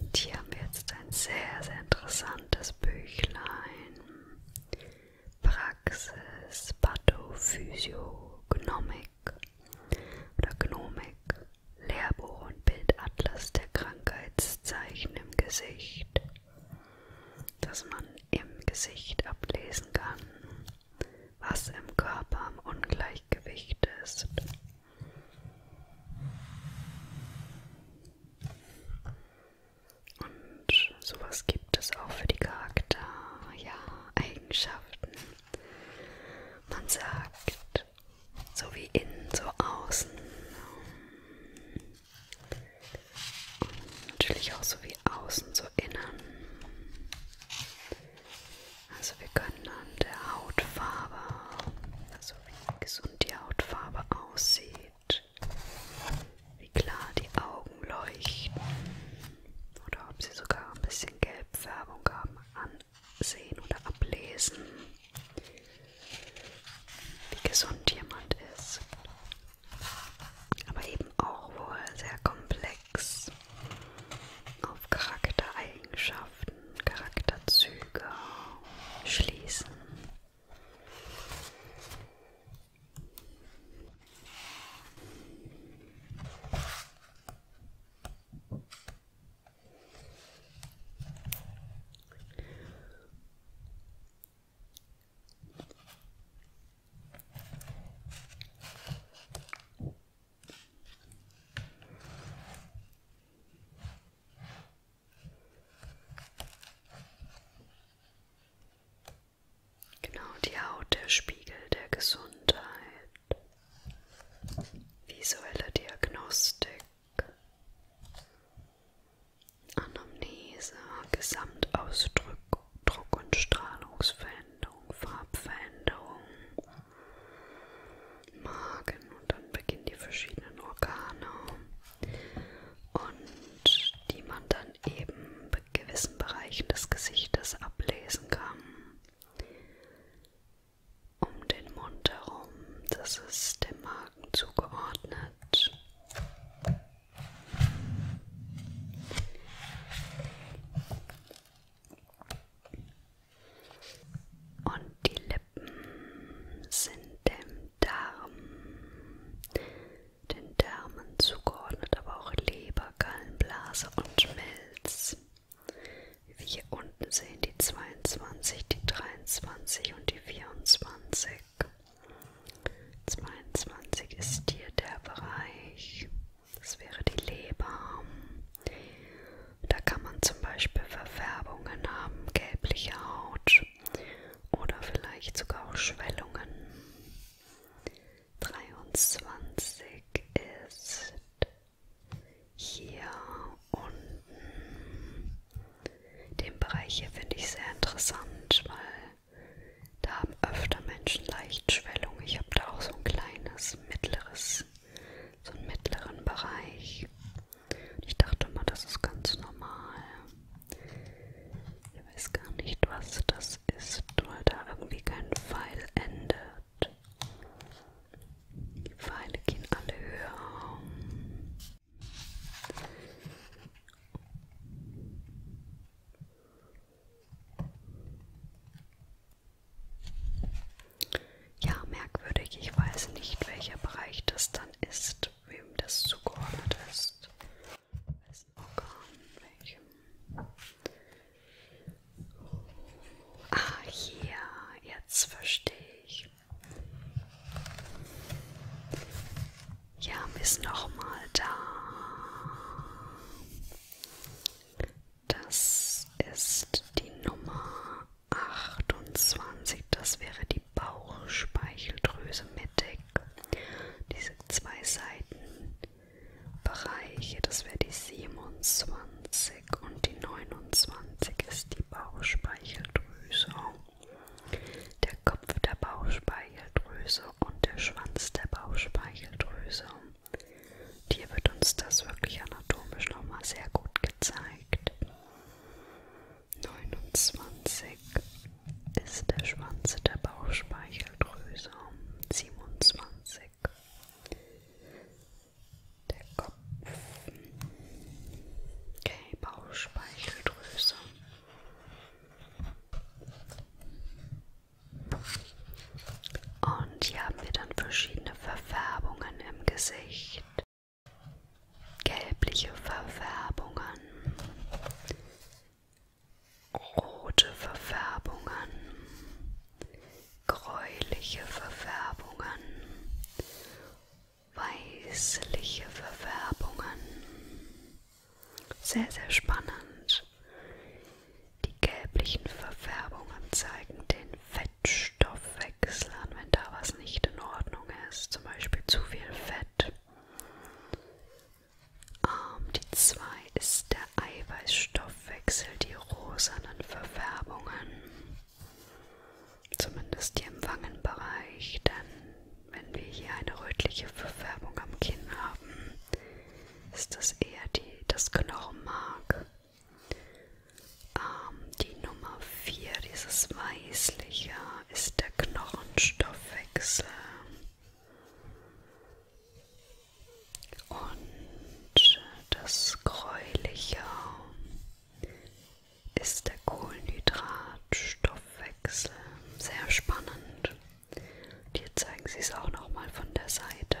Speaker 1: Und hier haben wir jetzt ein sehr, sehr interessantes Büchlein. Praxis Pathophysiognomik oder Gnomik, Lehrbuch und Bildatlas der Krankheitszeichen im Gesicht dass man im Gesicht ablesen kann, was im Körper am Ungleichgewicht ist. Und sowas gibt es auch für die Charakter-Eigenschaften. Ja, man sagt, so wie innen, so außen. Natürlich auch so wie außen, so innen. Also wir können an der Hautfarbe, also wie gesund die Hautfarbe aussieht, wie klar die Augen leuchten oder ob sie sogar ein bisschen Gelbfärbung haben, ansehen oder ablesen wie gesund jemand ist, aber eben auch wohl sehr komplex auf Charaktereigenschaften, Charakterzüge schließen. Genau, die Haut, der Spiegel der Gesundheit. Visuelle Diagnostik. Anamnese, Gesamtausdruck, Druck- und Strahlungsveränderung, Farbveränderung, Magen und dann beginnen die verschiedenen Organe und die man dann eben bei gewissen Bereichen des Gesichtes ablesen kann. Um den Mund herum, das ist dem Magen zugeordnet hat. Und die Lippen sind dem Darm, den Därmen zugeordnet, aber auch Leber, Gallenblase und Milz. Wie wir hier unten sehen, die 22, die 23 und die 24. 22 ist hier der Bereich, das wäre die Leber. Da kann man zum Beispiel Verfärbungen haben, gelbliche Haut oder vielleicht sogar auch Schwellungen. 23 ist hier unten den Bereich hier finde ich sehr interessant, weil da haben öfter Menschen leicht Schwellung. Ich habe da auch so ein kleines, mittleres, so einen mittleren Bereich. Ich dachte mal, das ist ganz normal. Ich weiß gar nicht, was das ist, weil da irgendwie kein Pfeil endet. Die Pfeile gehen alle höher. Ja, merkwürdig. Ich weiß nicht, welcher Bereich das dann ist, wem das zugeordnet ist. Wessen Organ, welchem. Ah, hier, jetzt verstehe ich. Ja, ist nochmal da. Das ist die Nummer 28. Das wäre die Bauchspeicheldrüse mittig. Diese zwei Seitenbereiche, das wäre die 27 und die 29 ist die Bauchspeicheldrüse. Der Kopf der Bauchspeicheldrüse und der Schwanz der Bauchspeicheldrüse. Und hier wird uns das wirklich anatomisch nochmal sehr gut gezeigt. 29 ist der Schwanz der Bauchspeicheldrüse. 27 der Kopf. Okay, Bauchspeicheldrüse. Und hier haben wir dann verschiedene Verfärbungen im Gesicht. Gelbliche Verfärbungen, rote Verfärbungen, gräuliche Verfärbungen weißliche Verfärbungen. Sehr, sehr spannend. Die gelblichen Verfärbungen zeigen den Fettstoffwechsel an, wenn da was nicht in Ordnung ist, zum Beispiel zu viel Fett. Ähm, die 2 ist der Eiweißstoffwechsel, die rosanen Verfärbungen. Zumindest hier im Wangenbereich, denn wenn wir hier eine rötliche Verfärbung am Kinn haben, ist das eher die, das Knochenmark. Ähm, die Nummer 4, dieses weißliche, ist der Knochenstoffwechsel. Und das gräuliche ist der Kohlenhydratstoffwechsel abwechseln. Sehr spannend. Und hier zeigen sie es auch nochmal von der Seite.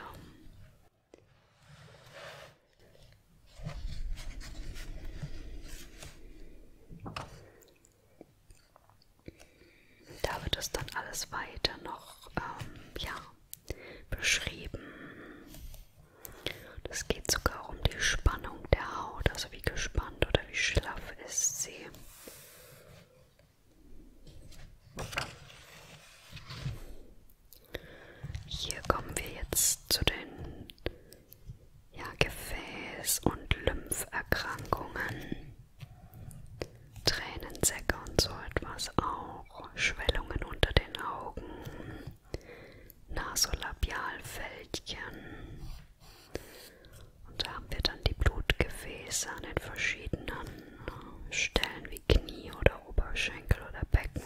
Speaker 1: Da wird es dann alles weiter noch ähm, ja, beschrieben. Es geht sogar um die Spannung der Haut, also wie gespannt oder wie schlaff ist sie. Hier kommen wir jetzt zu den ja, Gefäß- und Lympherkrankungen. Tränensäcke und so etwas auch. Schwellungen unter den Augen. Nasolabialfältchen. Und da haben wir dann die Blutgefäße an den verschiedenen äh, Stellen wie Knie oder Oberschenkel oder Becken.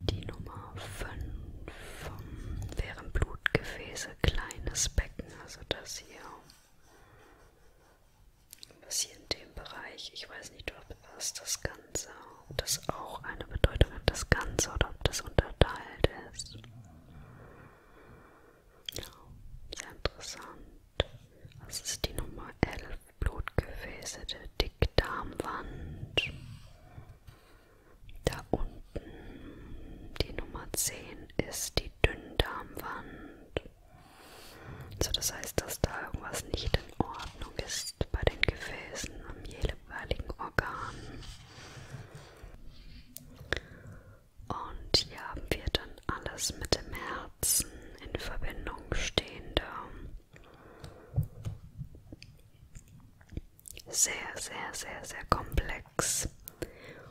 Speaker 1: Die Nummer 5 ähm, wären Blutgefäße, kleines Becken, also das hier. Was hier in dem Bereich, ich weiß nicht, was das Ganze ob das auch eine Bedeutung hat, das Ganze, oder ob das unterteilt ist. Ja, sehr interessant. Das ist die Nummer 11, Blutgefäße der Dickdarmwand. Da unten, die Nummer 10, ist die Dünndarmwand. So, das heißt, dass da irgendwas nicht in Ordnung ist bei den Gefäßen am jeweiligen Organ. Und hier haben wir dann alles mit dem Herzen in Verbindung stehende, sehr, sehr, sehr, sehr komplex.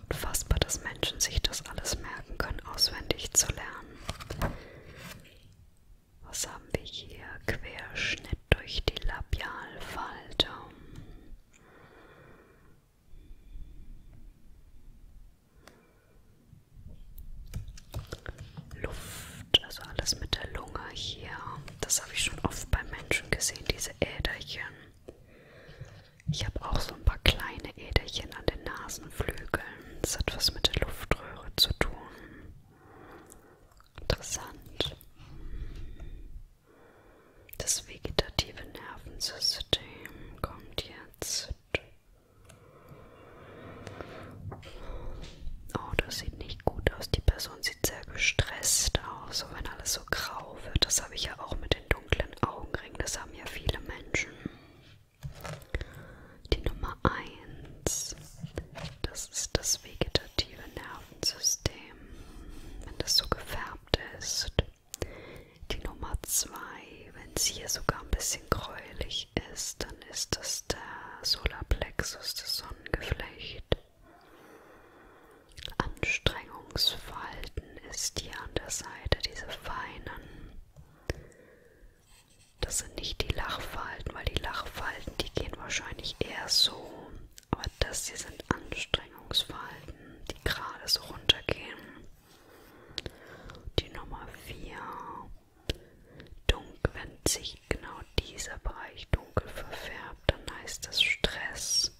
Speaker 1: Unfassbar, dass Menschen sich das alles merken können, auswendig zu lernen. Was haben wir hier? Querschnitt durch die Labialfalte. Luft, also alles mit der Lunge hier. Das habe ich schon oft bei Menschen gesehen, diese Äderchen. Ich habe auch so ein paar kleine Äderchen an den Nasenflügeln. Das hat was mit der Luftröhre zu tun. Interessant. Das vegetative Nervensystem kommt jetzt. Oh, das sieht nicht gut aus. Die Person sieht sehr gestresst aus, so wenn alles so grau wird. Das habe ich ja auch mit den dunklen Augenringen. Das haben ja viele Menschen. Die Nummer 1. Das ist das vegetative Nervensystem, wenn das so gefärbt ist. Die Nummer 2, wenn es hier sogar ein bisschen gräulich ist, dann ist das der Solarplexus, das Sonnengeflecht. Anstrengungsfalten ist hier an der Seite, diese feinen. Das sind nicht die Lachfalten, weil die Lachfalten, die gehen wahrscheinlich eher so aber das hier sind Anstrengungsverhalten, die gerade so runtergehen. Die Nummer 4. Dunkel, wenn sich genau dieser Bereich dunkel verfärbt, dann heißt das Stress.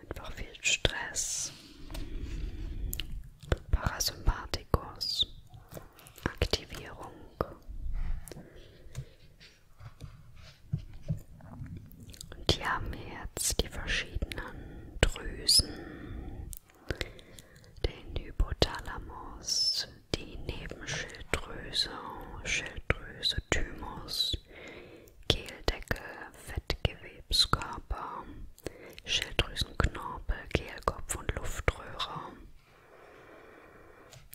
Speaker 1: Einfach viel Stress. Parasympathikus. Aktivierung. Und hier haben wir jetzt die verschiedenen Drüsen, den Hypothalamus, die Nebenschilddrüse, Schilddrüse, Thymus, Kehldecke, Fettgewebskörper, Schilddrüsenknorpel, Kehlkopf und Luftröhre.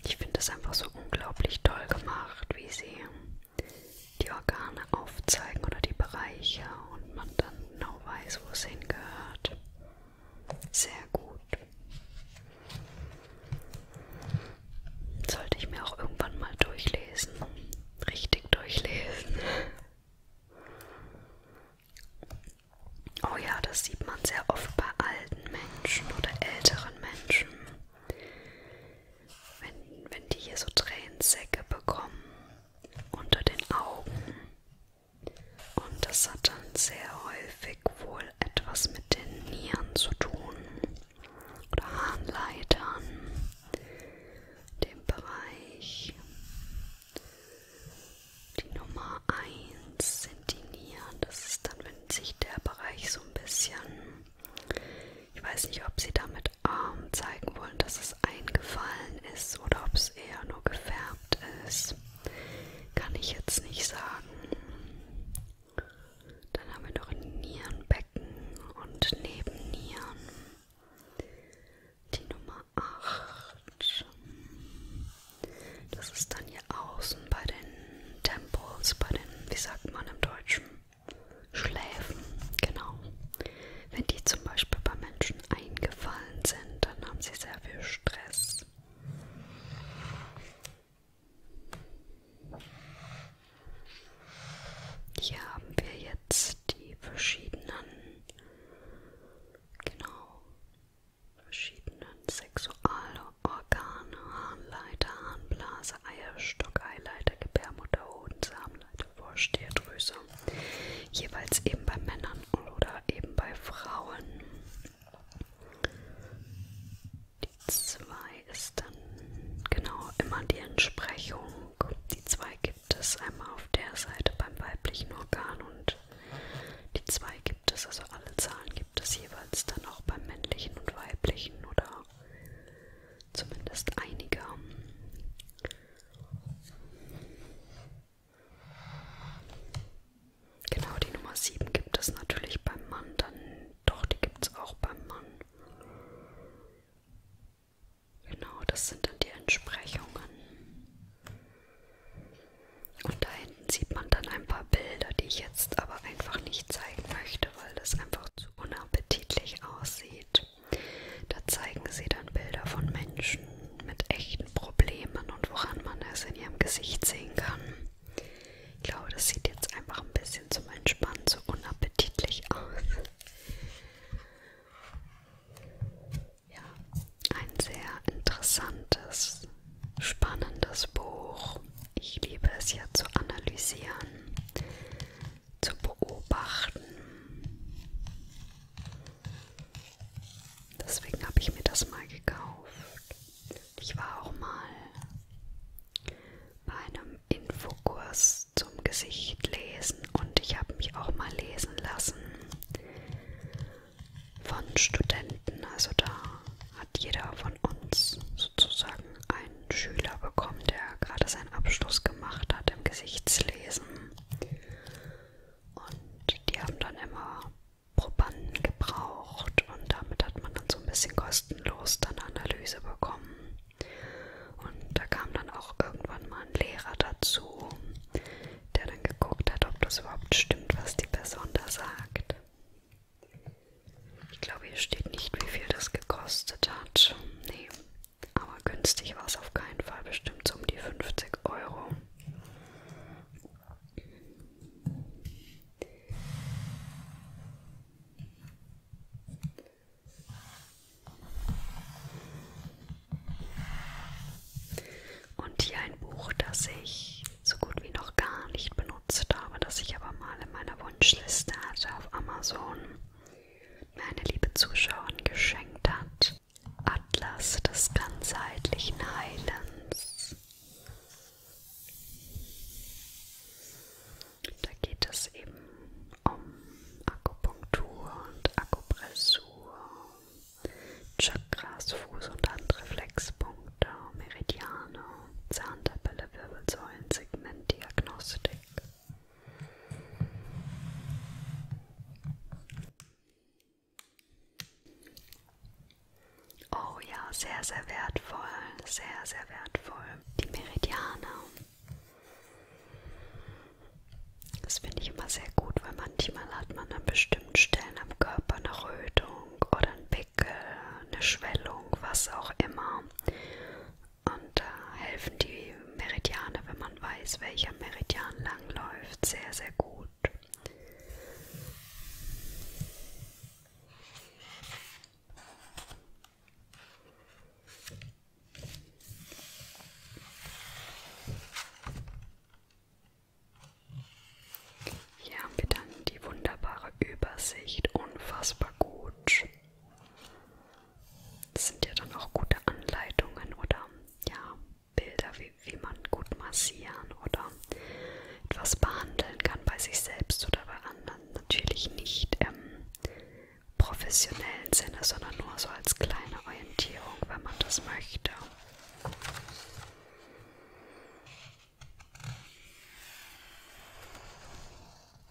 Speaker 1: Ich finde es einfach so unglaublich toll gemacht, wie sie die Organe aufzeigen oder die Bereiche und man dann genau weiß, wo es hingehört. Sehr gut. Sollte ich mir auch irgendwann mal durchlesen. Richtig durchlesen. Oh ja, das sieht man sehr oft bei alten Menschen oder älteren Menschen. Wenn, wenn die hier so Tränensäcke bekommen unter den Augen. Und das hat dann sehr häufig wohl etwas mit den Nieren zu tun. Oder Harnleitern. Dem Bereich. Die Nummer 1 sind die Nieren. Das ist dann, wenn dehnt sich der Bereich so ein bisschen. Ich weiß nicht, ob sie damit ähm, zeigen wollen, dass es eingefallen ist oder ob es eher nur gefärbt ist. Kann ich jetzt nicht sagen. Dann haben wir noch ein Nierenbecken und Nebennieren. Die Nummer 8. Das ist dann hier außen bei den Temples, bei den, wie sagt man im Deutschen, Schläfen, genau. Wenn die zum Beispiel bei Menschen eingefallen sind, dann haben sie sehr viel Stress. Hier haben wir jetzt die verschiedenen, genau, verschiedenen sexual Organe, Harnleiter, Harnblase, Eierstock, Eileiter, Gebärmutter, Hoden, Samenleiter, Vorstierdrüse. Jeweils eben bei Männern oder eben bei Frauen. Die 2 ist dann genau immer die Entsprechung. Die 2 gibt es einmal auf der Seite beim weiblichen Organ und die 2 gibt es, also alle Zahlen gibt es jeweils dann auch beim männlichen und weiblichen oder Zumindest einige. Genau, die Nummer 7 gibt es natürlich beim Mann, dann doch, die gibt es auch beim Mann. Genau, das sind dann die Entsprechungen. Und da hinten sieht man dann ein paar Bilder, die ich jetzt aber einfach nicht zeigen möchte. Seite, weil das einfach zu unappetitlich aussieht. Da zeigen sie dann Bilder von Menschen mit echten Problemen und woran man es in ihrem Gesicht sehen kann. Ich glaube, das sieht jetzt einfach ein bisschen zum Entspannen so unappetitlich aus. Ja, ein sehr interessantes, spannendes Buch. Ich liebe es ja zu analysieren, zu beobachten. Deswegen habe ich mir das mal gekauft. Ich war auch mal bei einem Infokurs zum Gesicht lesen und ich habe mich auch mal lesen lassen von Studenten. Also da hat jeder von uns sozusagen ein einen Schüler bekommen, der gerade seinen Abschluss gemacht hat im Gesichtslesen. Und die haben dann immer Probanden gebraucht und damit hat man dann so ein bisschen kostenlos dann Analyse bekommen. Und da kam dann auch irgendwann mal ein Lehrer dazu, der dann geguckt hat, ob das überhaupt stimmt, was die Person da sagt. Ich glaube, hier steht nicht, wie viel das gekostet hat. Nee, aber günstig war es auf keinen Fall. Bestimmt so um die 50 Euro. Und hier ein Buch, das ich so gut wie noch gar nicht benutze benutzt habe, das ich aber mal in meiner Wunschliste hatte auf Amazon, mir eine liebe Zuschauerin geschenkt hat. Atlas des ganzheitlichen Heilens. Da geht es eben um Akupunktur und Akupressur, Chakras, Fuß- und Handreflexpunkte, Meridiane Zahntabelle, Wirbelsäulen, Segmentdiagnostik. Oh ja, sehr, sehr wertvoll, sehr, sehr wertvoll. Die Meridiane. Das finde ich immer sehr gut, weil manchmal hat man an bestimmten Stellen am Körper eine Rötung oder einen Pickel, eine Schwellung, was auch immer. Und da helfen die Meridiane, wenn man weiß, welcher Meridian lang läuft, sehr, sehr gut. Hier haben wir dann die wunderbare Übersicht, unfassbar gut. Das sind ja dann auch gute Anleitungen oder ja, Bilder, wie, wie man gut massieren oder etwas behandeln kann bei sich selbst oder bei anderen. Natürlich nicht im professionellen Sinne, sondern nur so als kleine Orientierung, wenn man das möchte.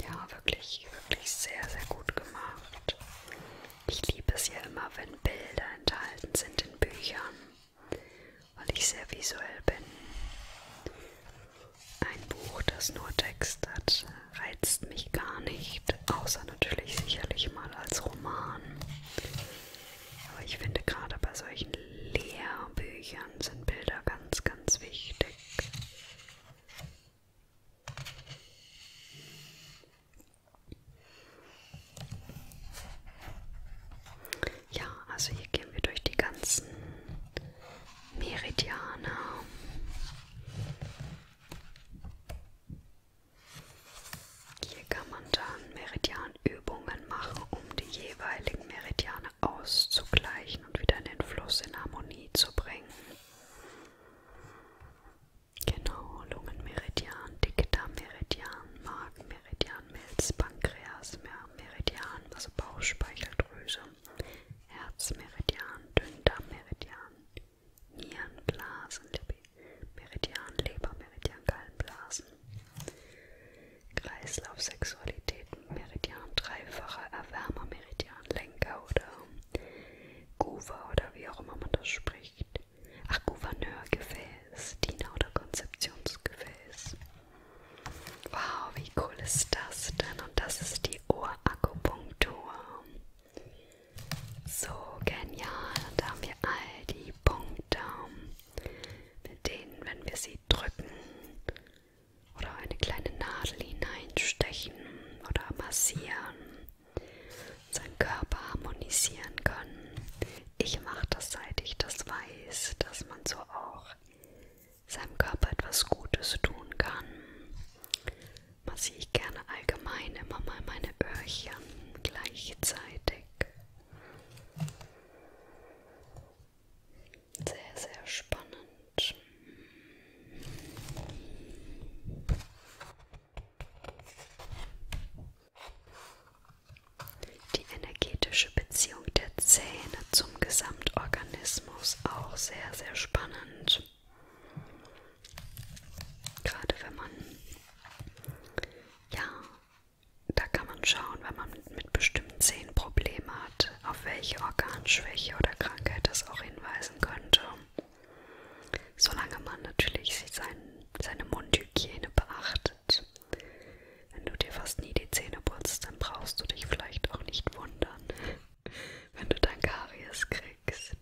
Speaker 1: Ja, wirklich, wirklich sehr, sehr gut gemacht. Ich liebe es ja immer, wenn Bilder enthalten sind in Büchern, weil ich sehr visuell bin. Ein Buch, das nur Text hat, reizt mich gar nicht, außer natürlich sicherlich mal als Roman. Aber ich finde gerade bei solchen Lehrbüchern sind Bilder ganz, ganz wichtig. Ja, also hier gehen wir durch die ganzen Meridiane. Hier kann man dann Meridianübungen machen, um die jeweiligen Meridiane auszugleichen und wieder in den Fluss in Harmonie zu bringen. Genau, Lungenmeridian, Dickdarmmeridian, Magenmeridian, Milz, Pankreas, Meridian, also Bauchspeicheldrüse, Herzmeridian, Dünndarmmeridian, Nierenblasen, Libido. Meridian Leber, Meridian Gallenblasen, Kreislauf Sexualitäten, Meridian Dreifacher Erwärmer, Meridian Lenker oder Guva oder wie auch immer man das spricht. Ach, Gouverneurgefäß, Diener oder Konzeptionsgefäß. Wow, wie cool ist das denn? Und das ist die Ohrakupunktur. So genial. Da haben wir all die Punkte mit denen, wenn wir sie drücken oder eine kleine Nadel hineinstechen oder massieren, seinen Körper harmonisieren können. Ich mache das, seit ich das weiß, dass man so auch seinem Körper etwas Gutes tun kann. Massiere ich gerne allgemein immer mal meine Öhrchen gleichzeitig. Sehr, sehr spannend. Die energetische Beziehung der Zähne zum Gesamtorganismus auch sehr, sehr spannend. Gerade wenn man ja da kann man schauen, wenn man mit bestimmten Zähnen Probleme hat, auf welche Organschwäche oder Krankheit das auch hinweisen könnte. Solange man natürlich sein, seine Mundhygiene beachtet. Wenn du dir fast nie die Zähne putzt, dann brauchst du dich vielleicht auch nicht wundern, *laughs* wenn du dann Karies kriegst.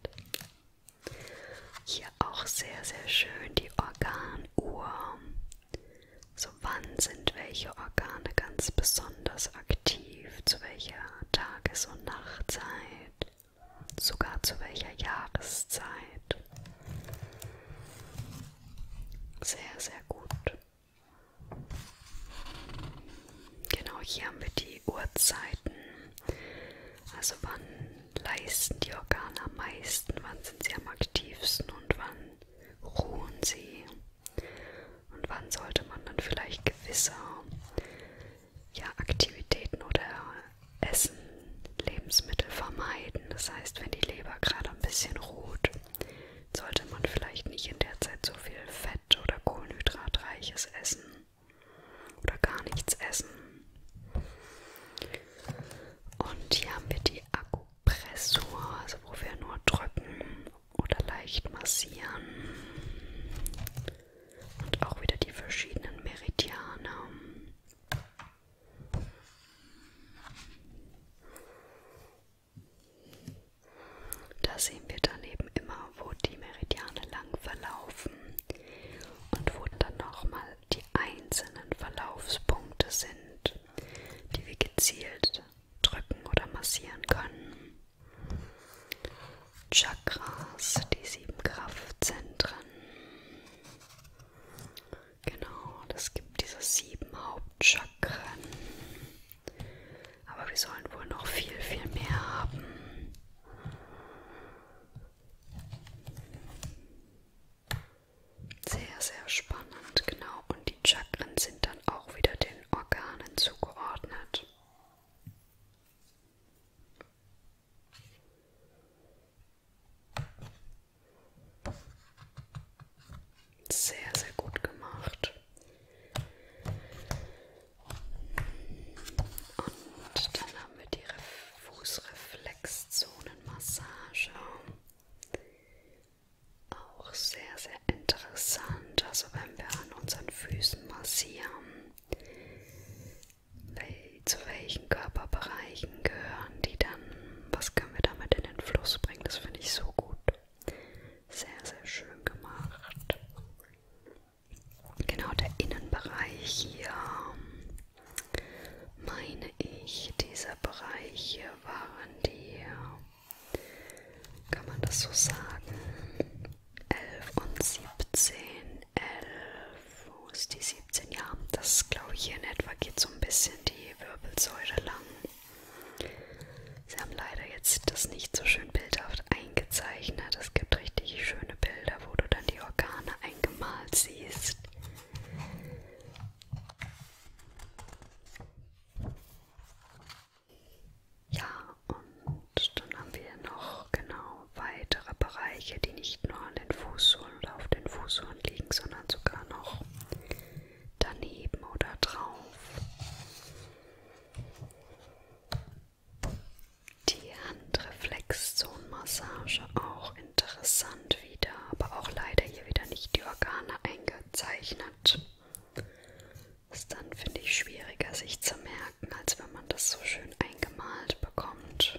Speaker 1: Hier auch sehr, sehr schön die Organuhr. So wann sind welche Organe ganz besonders aktiv, zu welcher Tages- und Nachtzeit, sogar zu welcher Jahreszeit. Sehr, sehr gut. Genau hier haben wir die Uhrzeiten. Also wann leisten die Organe am meisten, wann sind sie am aktivsten und wann ruhen sie? Und wann sollte man dann vielleicht gewisse ja, Aktivitäten oder Essen, Lebensmittel vermeiden? Das heißt, wenn die Leber gerade ein bisschen ruht, sollte man vielleicht nicht in der Zeit so viel Fett oder Kohlenhydratreiches essen oder gar nichts essen. Und hier haben wir die Akku Pressur, also wo wir nur drücken oder leicht massieren. Und auch wieder die verschiedenen Meridiane. Da sehen wir daneben immer, wo die Meridiane lang verlaufen und wo dann nochmal die einzelnen Verlaufspunkte sind, die wir gezielt drücken oder massieren können. Chakras, die sieben Kraftzentren. Genau, das gibt diese sieben Hauptchakren. Aber wir sollen wohl noch viel, viel mehr haben. Sehr, sehr spannend, genau. Und die Chakren sind dann auch wieder den Organen zugeordnet. Sehr, sehr gut gemacht. Und dann haben wir die Fußreflexzonenmassage auch sehr, sehr interessant. Also wenn wir an unseren Füßen massieren, zu welchen Körperbereichen gehören die dann? Was können wir damit in den Fluss bringen? Das finde ich so gut. Sehr, sehr schön gemacht. Genau der Innenbereich hier. Mein ich dieser Bereiche waren die, kann man das so sagen, 11 und 17, 11, wo ist die 17? Ja, das glaube ich hier in etwa geht so ein bisschen die Wirbelsäule lang. Sie haben leider jetzt das nicht so schön bildhaft eingezeichnet. Es gibt richtig schöne Bilder, wo du dann die Organe eingemalt siehst. Ja, und dann haben wir noch genau weitere Bereiche, die nicht nur an den Fußsohlen oder auf den Fußsohlen liegen, sondern sogar noch daneben oder drauf. Die Handreflexzonenmassage auch interessant wieder, aber auch leider hier wieder nicht die Organe eingezeichnet. Ist dann, finde ich, schwieriger sich zu merken, als wenn man das so schön eingemalt bekommt.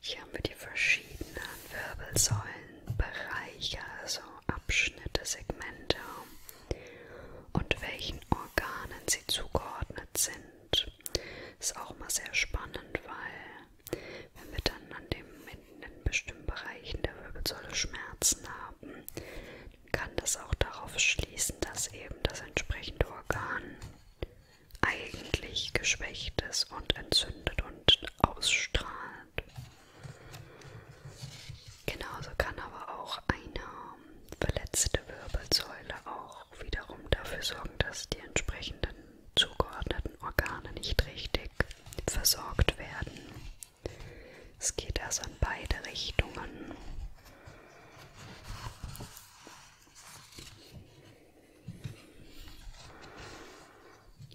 Speaker 1: Hier haben wir die verschiedenen Wirbelsäulenbereiche, also Abschnitte, Segmente und welchen Organen sie zugeordnet sind. Ist auch mal sehr spannend, weil wenn wir dann an dem, in den bestimmten Bereichen der Wirbelsäule Schmerzen haben, kann das auch darauf schließen, dass eben das entsprechende Organ eigentlich geschwächt ist und entzündet und ausstrahlt. Genauso kann aber auch eine verletzte Wirbelsäule auch wiederum dafür sorgen, dass die entsprechenden zugeordneten Organe nicht richtig versorgt werden. Es geht also in beide Richtungen.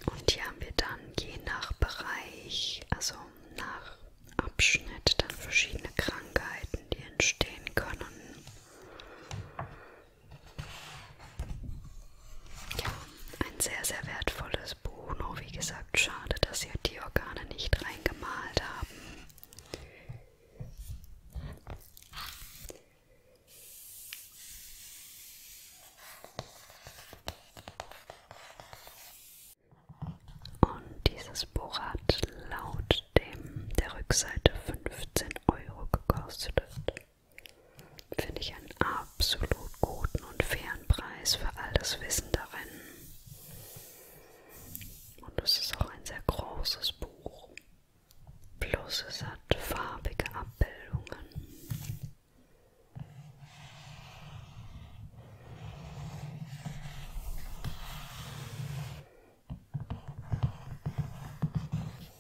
Speaker 1: Und hier haben wir dann je nach Bereich, also nach Abschnitt, dann verschiedene Krankheiten, die entstehen können. Ja, ein sehr, sehr wertvolles Buch. Nur wie gesagt, schade, dass ihr die Organe nicht reingemalt haben. Und dieses Buch hat laut dem der Rückseite 15 Euro gekostet. Finde ich einen absolut guten und fairen Preis für all das Wissen darin. Und es ist auch ein sehr großes Buch. Plus es hat farbige Abbildungen.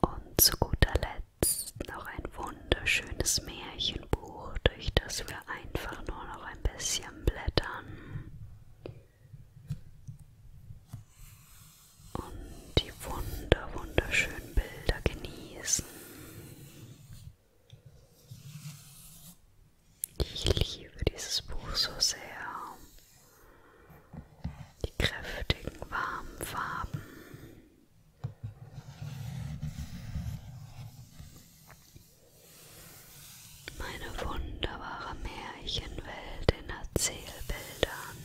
Speaker 1: Und zu guter Letzt noch ein wunderschönes Märchenbuch, durch das wir einfach nur noch ein bisschen blättern. Und die wunder, wunderschönen Bilder genießen. Ich liebe dieses Buch so sehr. Die kräftigen, warmen Farben. Meine wunderbare Märchenwelt in Erzählbildern.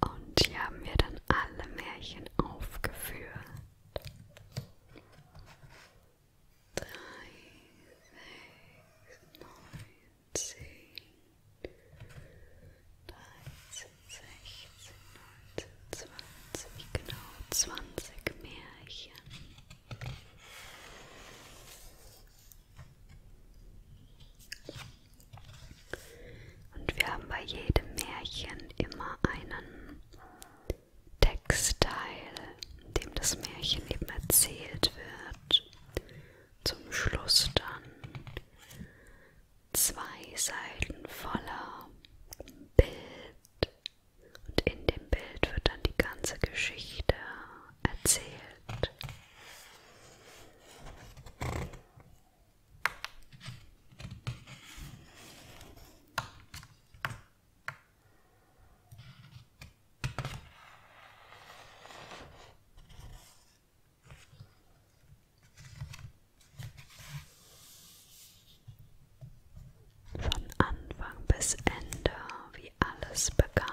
Speaker 1: Und hier haben wir dann alle Märchen aufgeführt drei, sechs, neun, zehn, dreizehn, sechzehn, neunzehn, zwanzig, genau zwanzig Märchen. Und wir haben bei jedem Märchen immer einen Textteil, dem das Märchen eben erzählt wird. Zum Schluss dann zwei Seiten voller Bild und in dem Bild wird dann die ganze Geschichte erzählt. Von Anfang bis Ende, wie alles begann.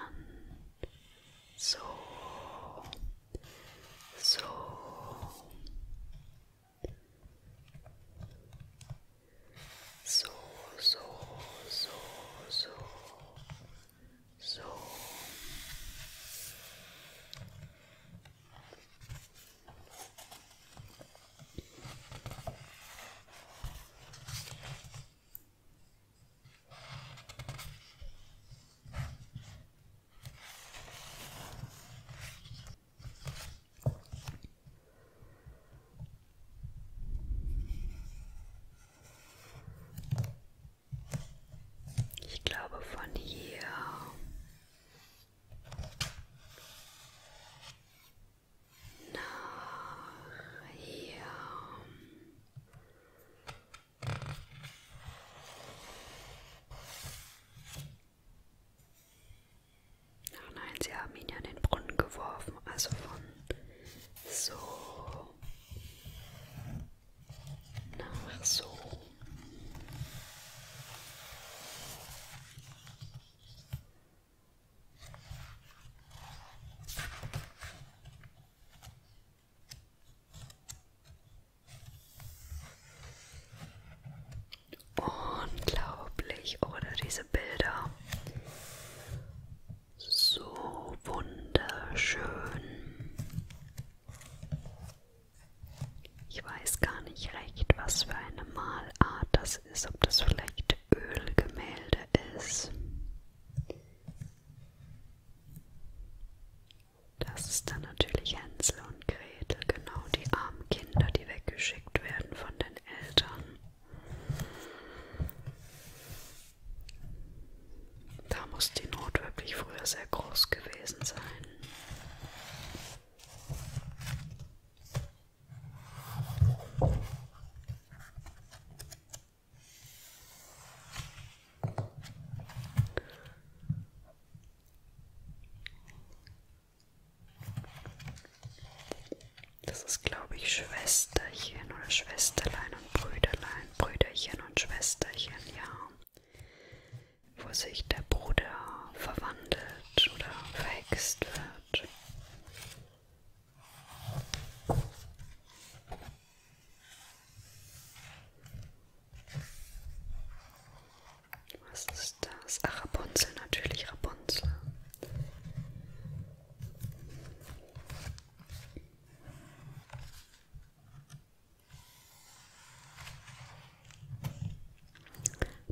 Speaker 1: So, so. so, so, so, so, so. Ich glaube von hier. Nach hier. Ach nein, sie haben ihn ja in den Brunnen geworfen. Also von so nach so. Unglaublich, oder diese Bilder so wunderschön. Ich weiß gar nicht recht, was für eine Malart das ist, ob das vielleicht Ölgemälde ist. Das ist dann natürlich Hänsel und Gretel, genau die armen Kinder, die weggeschickt werden von den Eltern. Da muss die Not wirklich früher sehr groß gewesen sein. Das ist, glaube ich, Schwesterchen oder Schwesterlein und Brüderlein, Brüderchen und Schwesterchen, ja. Wo sich der Bruder verwandelt oder verhext wird. Was ist das? Ach, Rapunzel, natürlich Rapunzel.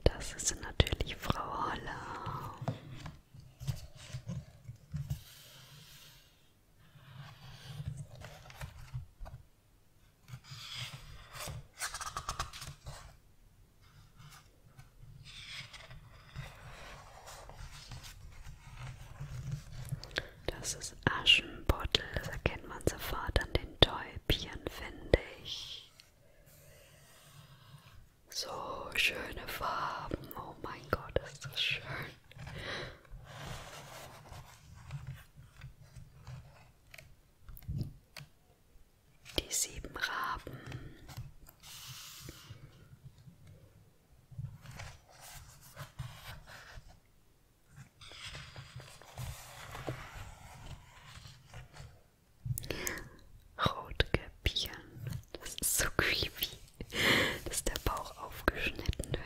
Speaker 1: Das ist natürlich Frau Holler. Das ist Aschenputtel, das erkennt man sofort an den Täubchen, finde ich. So schöne Farben, oh mein Gott, ist das schön. Die sieben Raben. Rotkäppchen. Das ist so creepy, dass der Bauch aufgeschnitten wird.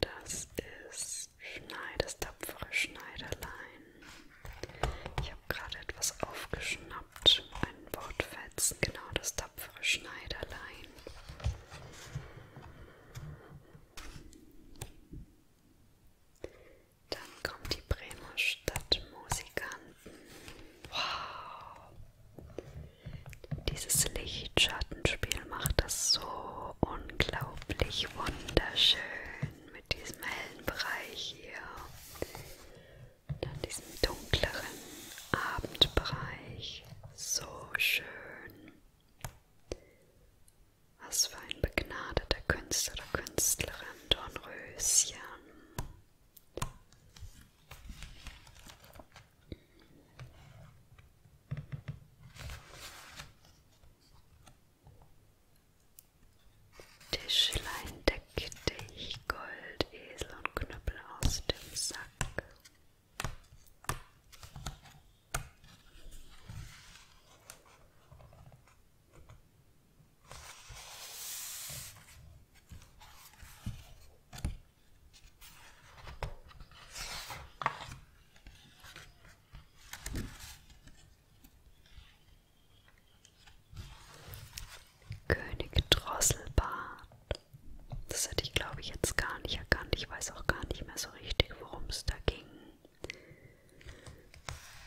Speaker 1: Das ist Schneiders tapfere Schneiderlein. Ich habe gerade etwas aufgeschnappt, einen Wortfetzen, genau das tapfere Schneiderlein. Dann kommt die Bremer Stadtmusikanten. Wow! Dieses Lichtschattenspiel macht das so unglaublich wunderschön mit diesem hellen Bereich hier. Und dann diesem dunkleren Abendbereich. So schön. Was für ein begnadeter Künstler oder Künstlerin, Dornröschen. Tischlein deck dich, Gold, Esel und Knüppel aus dem Sack. König Drosselbart. Das hätte ich glaube ich jetzt gar nicht erkannt. Ich weiß auch gar nicht mehr so richtig, worum es da ging.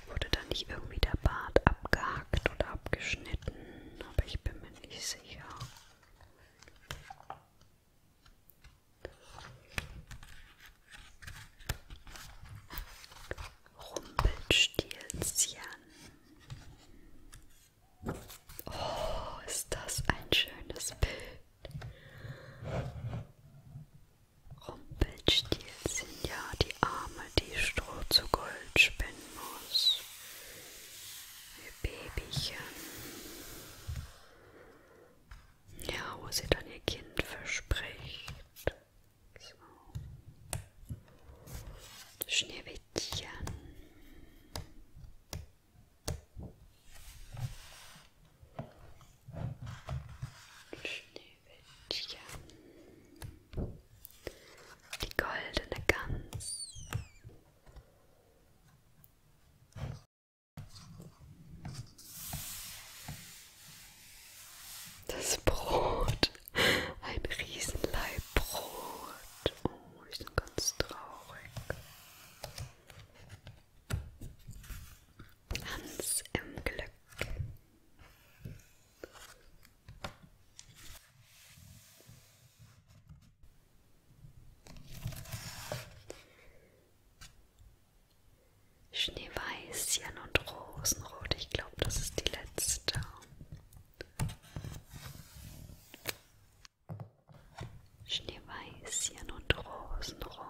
Speaker 1: Wurde da nicht irgendwie der Bart abgehackt oder abgeschnitten? Aber ich bin mir nicht sicher. Rumpelstilzchen. Oh, ist das ein schönes Bild. Rumpelstilz sind ja die Arme, die Stroh zu Gold spinnen muss. Ihr Babychen. Ja, wo sie dann ihr Kind verspricht. So. Schneewittchen. Schneewittchen, die goldene Gans, das Brot, ein Riesenleib Brot. Oh, ich bin ganz traurig. Hans im Glück. Schneeweißchen und Rosenrot, ich glaube, das ist die letzte. Schneeweißchen und Rosenrot,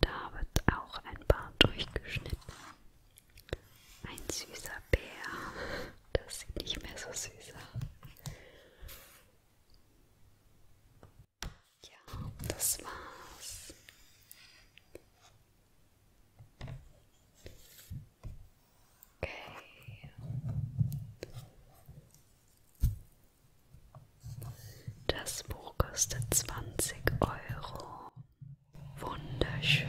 Speaker 1: da wird auch ein paar durchgeschnitten. Ein süßer Bär. Das sieht nicht mehr so süß aus. Ja, das war's. Okay. Das Buch kostet 20 Euro. Wunderschön.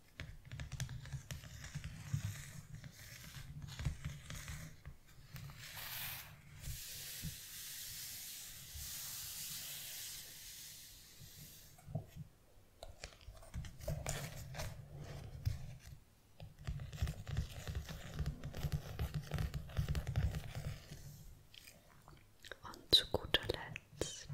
Speaker 1: Und zu guter Letzt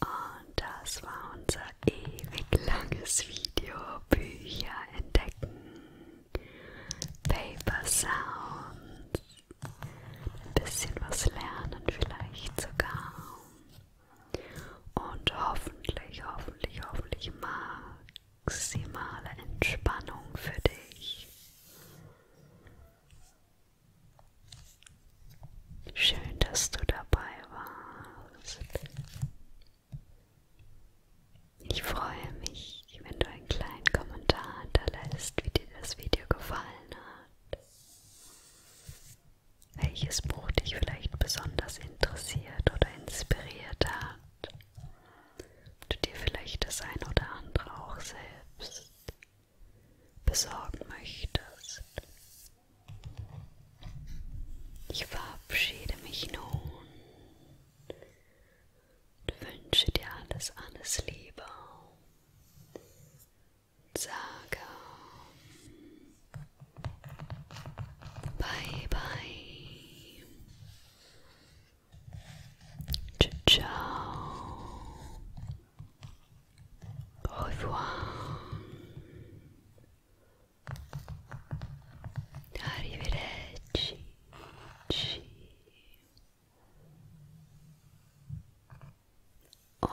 Speaker 1: und das war unser ewig langes Video. Bücher entdecken. Paper Sounds. Ein bisschen was lernen vielleicht sogar. Und hoffentlich, hoffentlich, hoffentlich maximale Entspannung für dich. Schön, dass du dabei warst. Ich freue mich, wenn du einen kleinen Kommentar hinterlässt, wie dir das Video gefallen hat. Welches Buch dich vielleicht besonders interessiert oder inspiriert hat du dir vielleicht das ein oder andere auch selbst besorgen möchtest. Ich verabschiede mich nun und wünsche dir alles, alles Liebe. Sage bye bye. Ciao ciao. Au revoir. Arrivederci. Ci. Oh.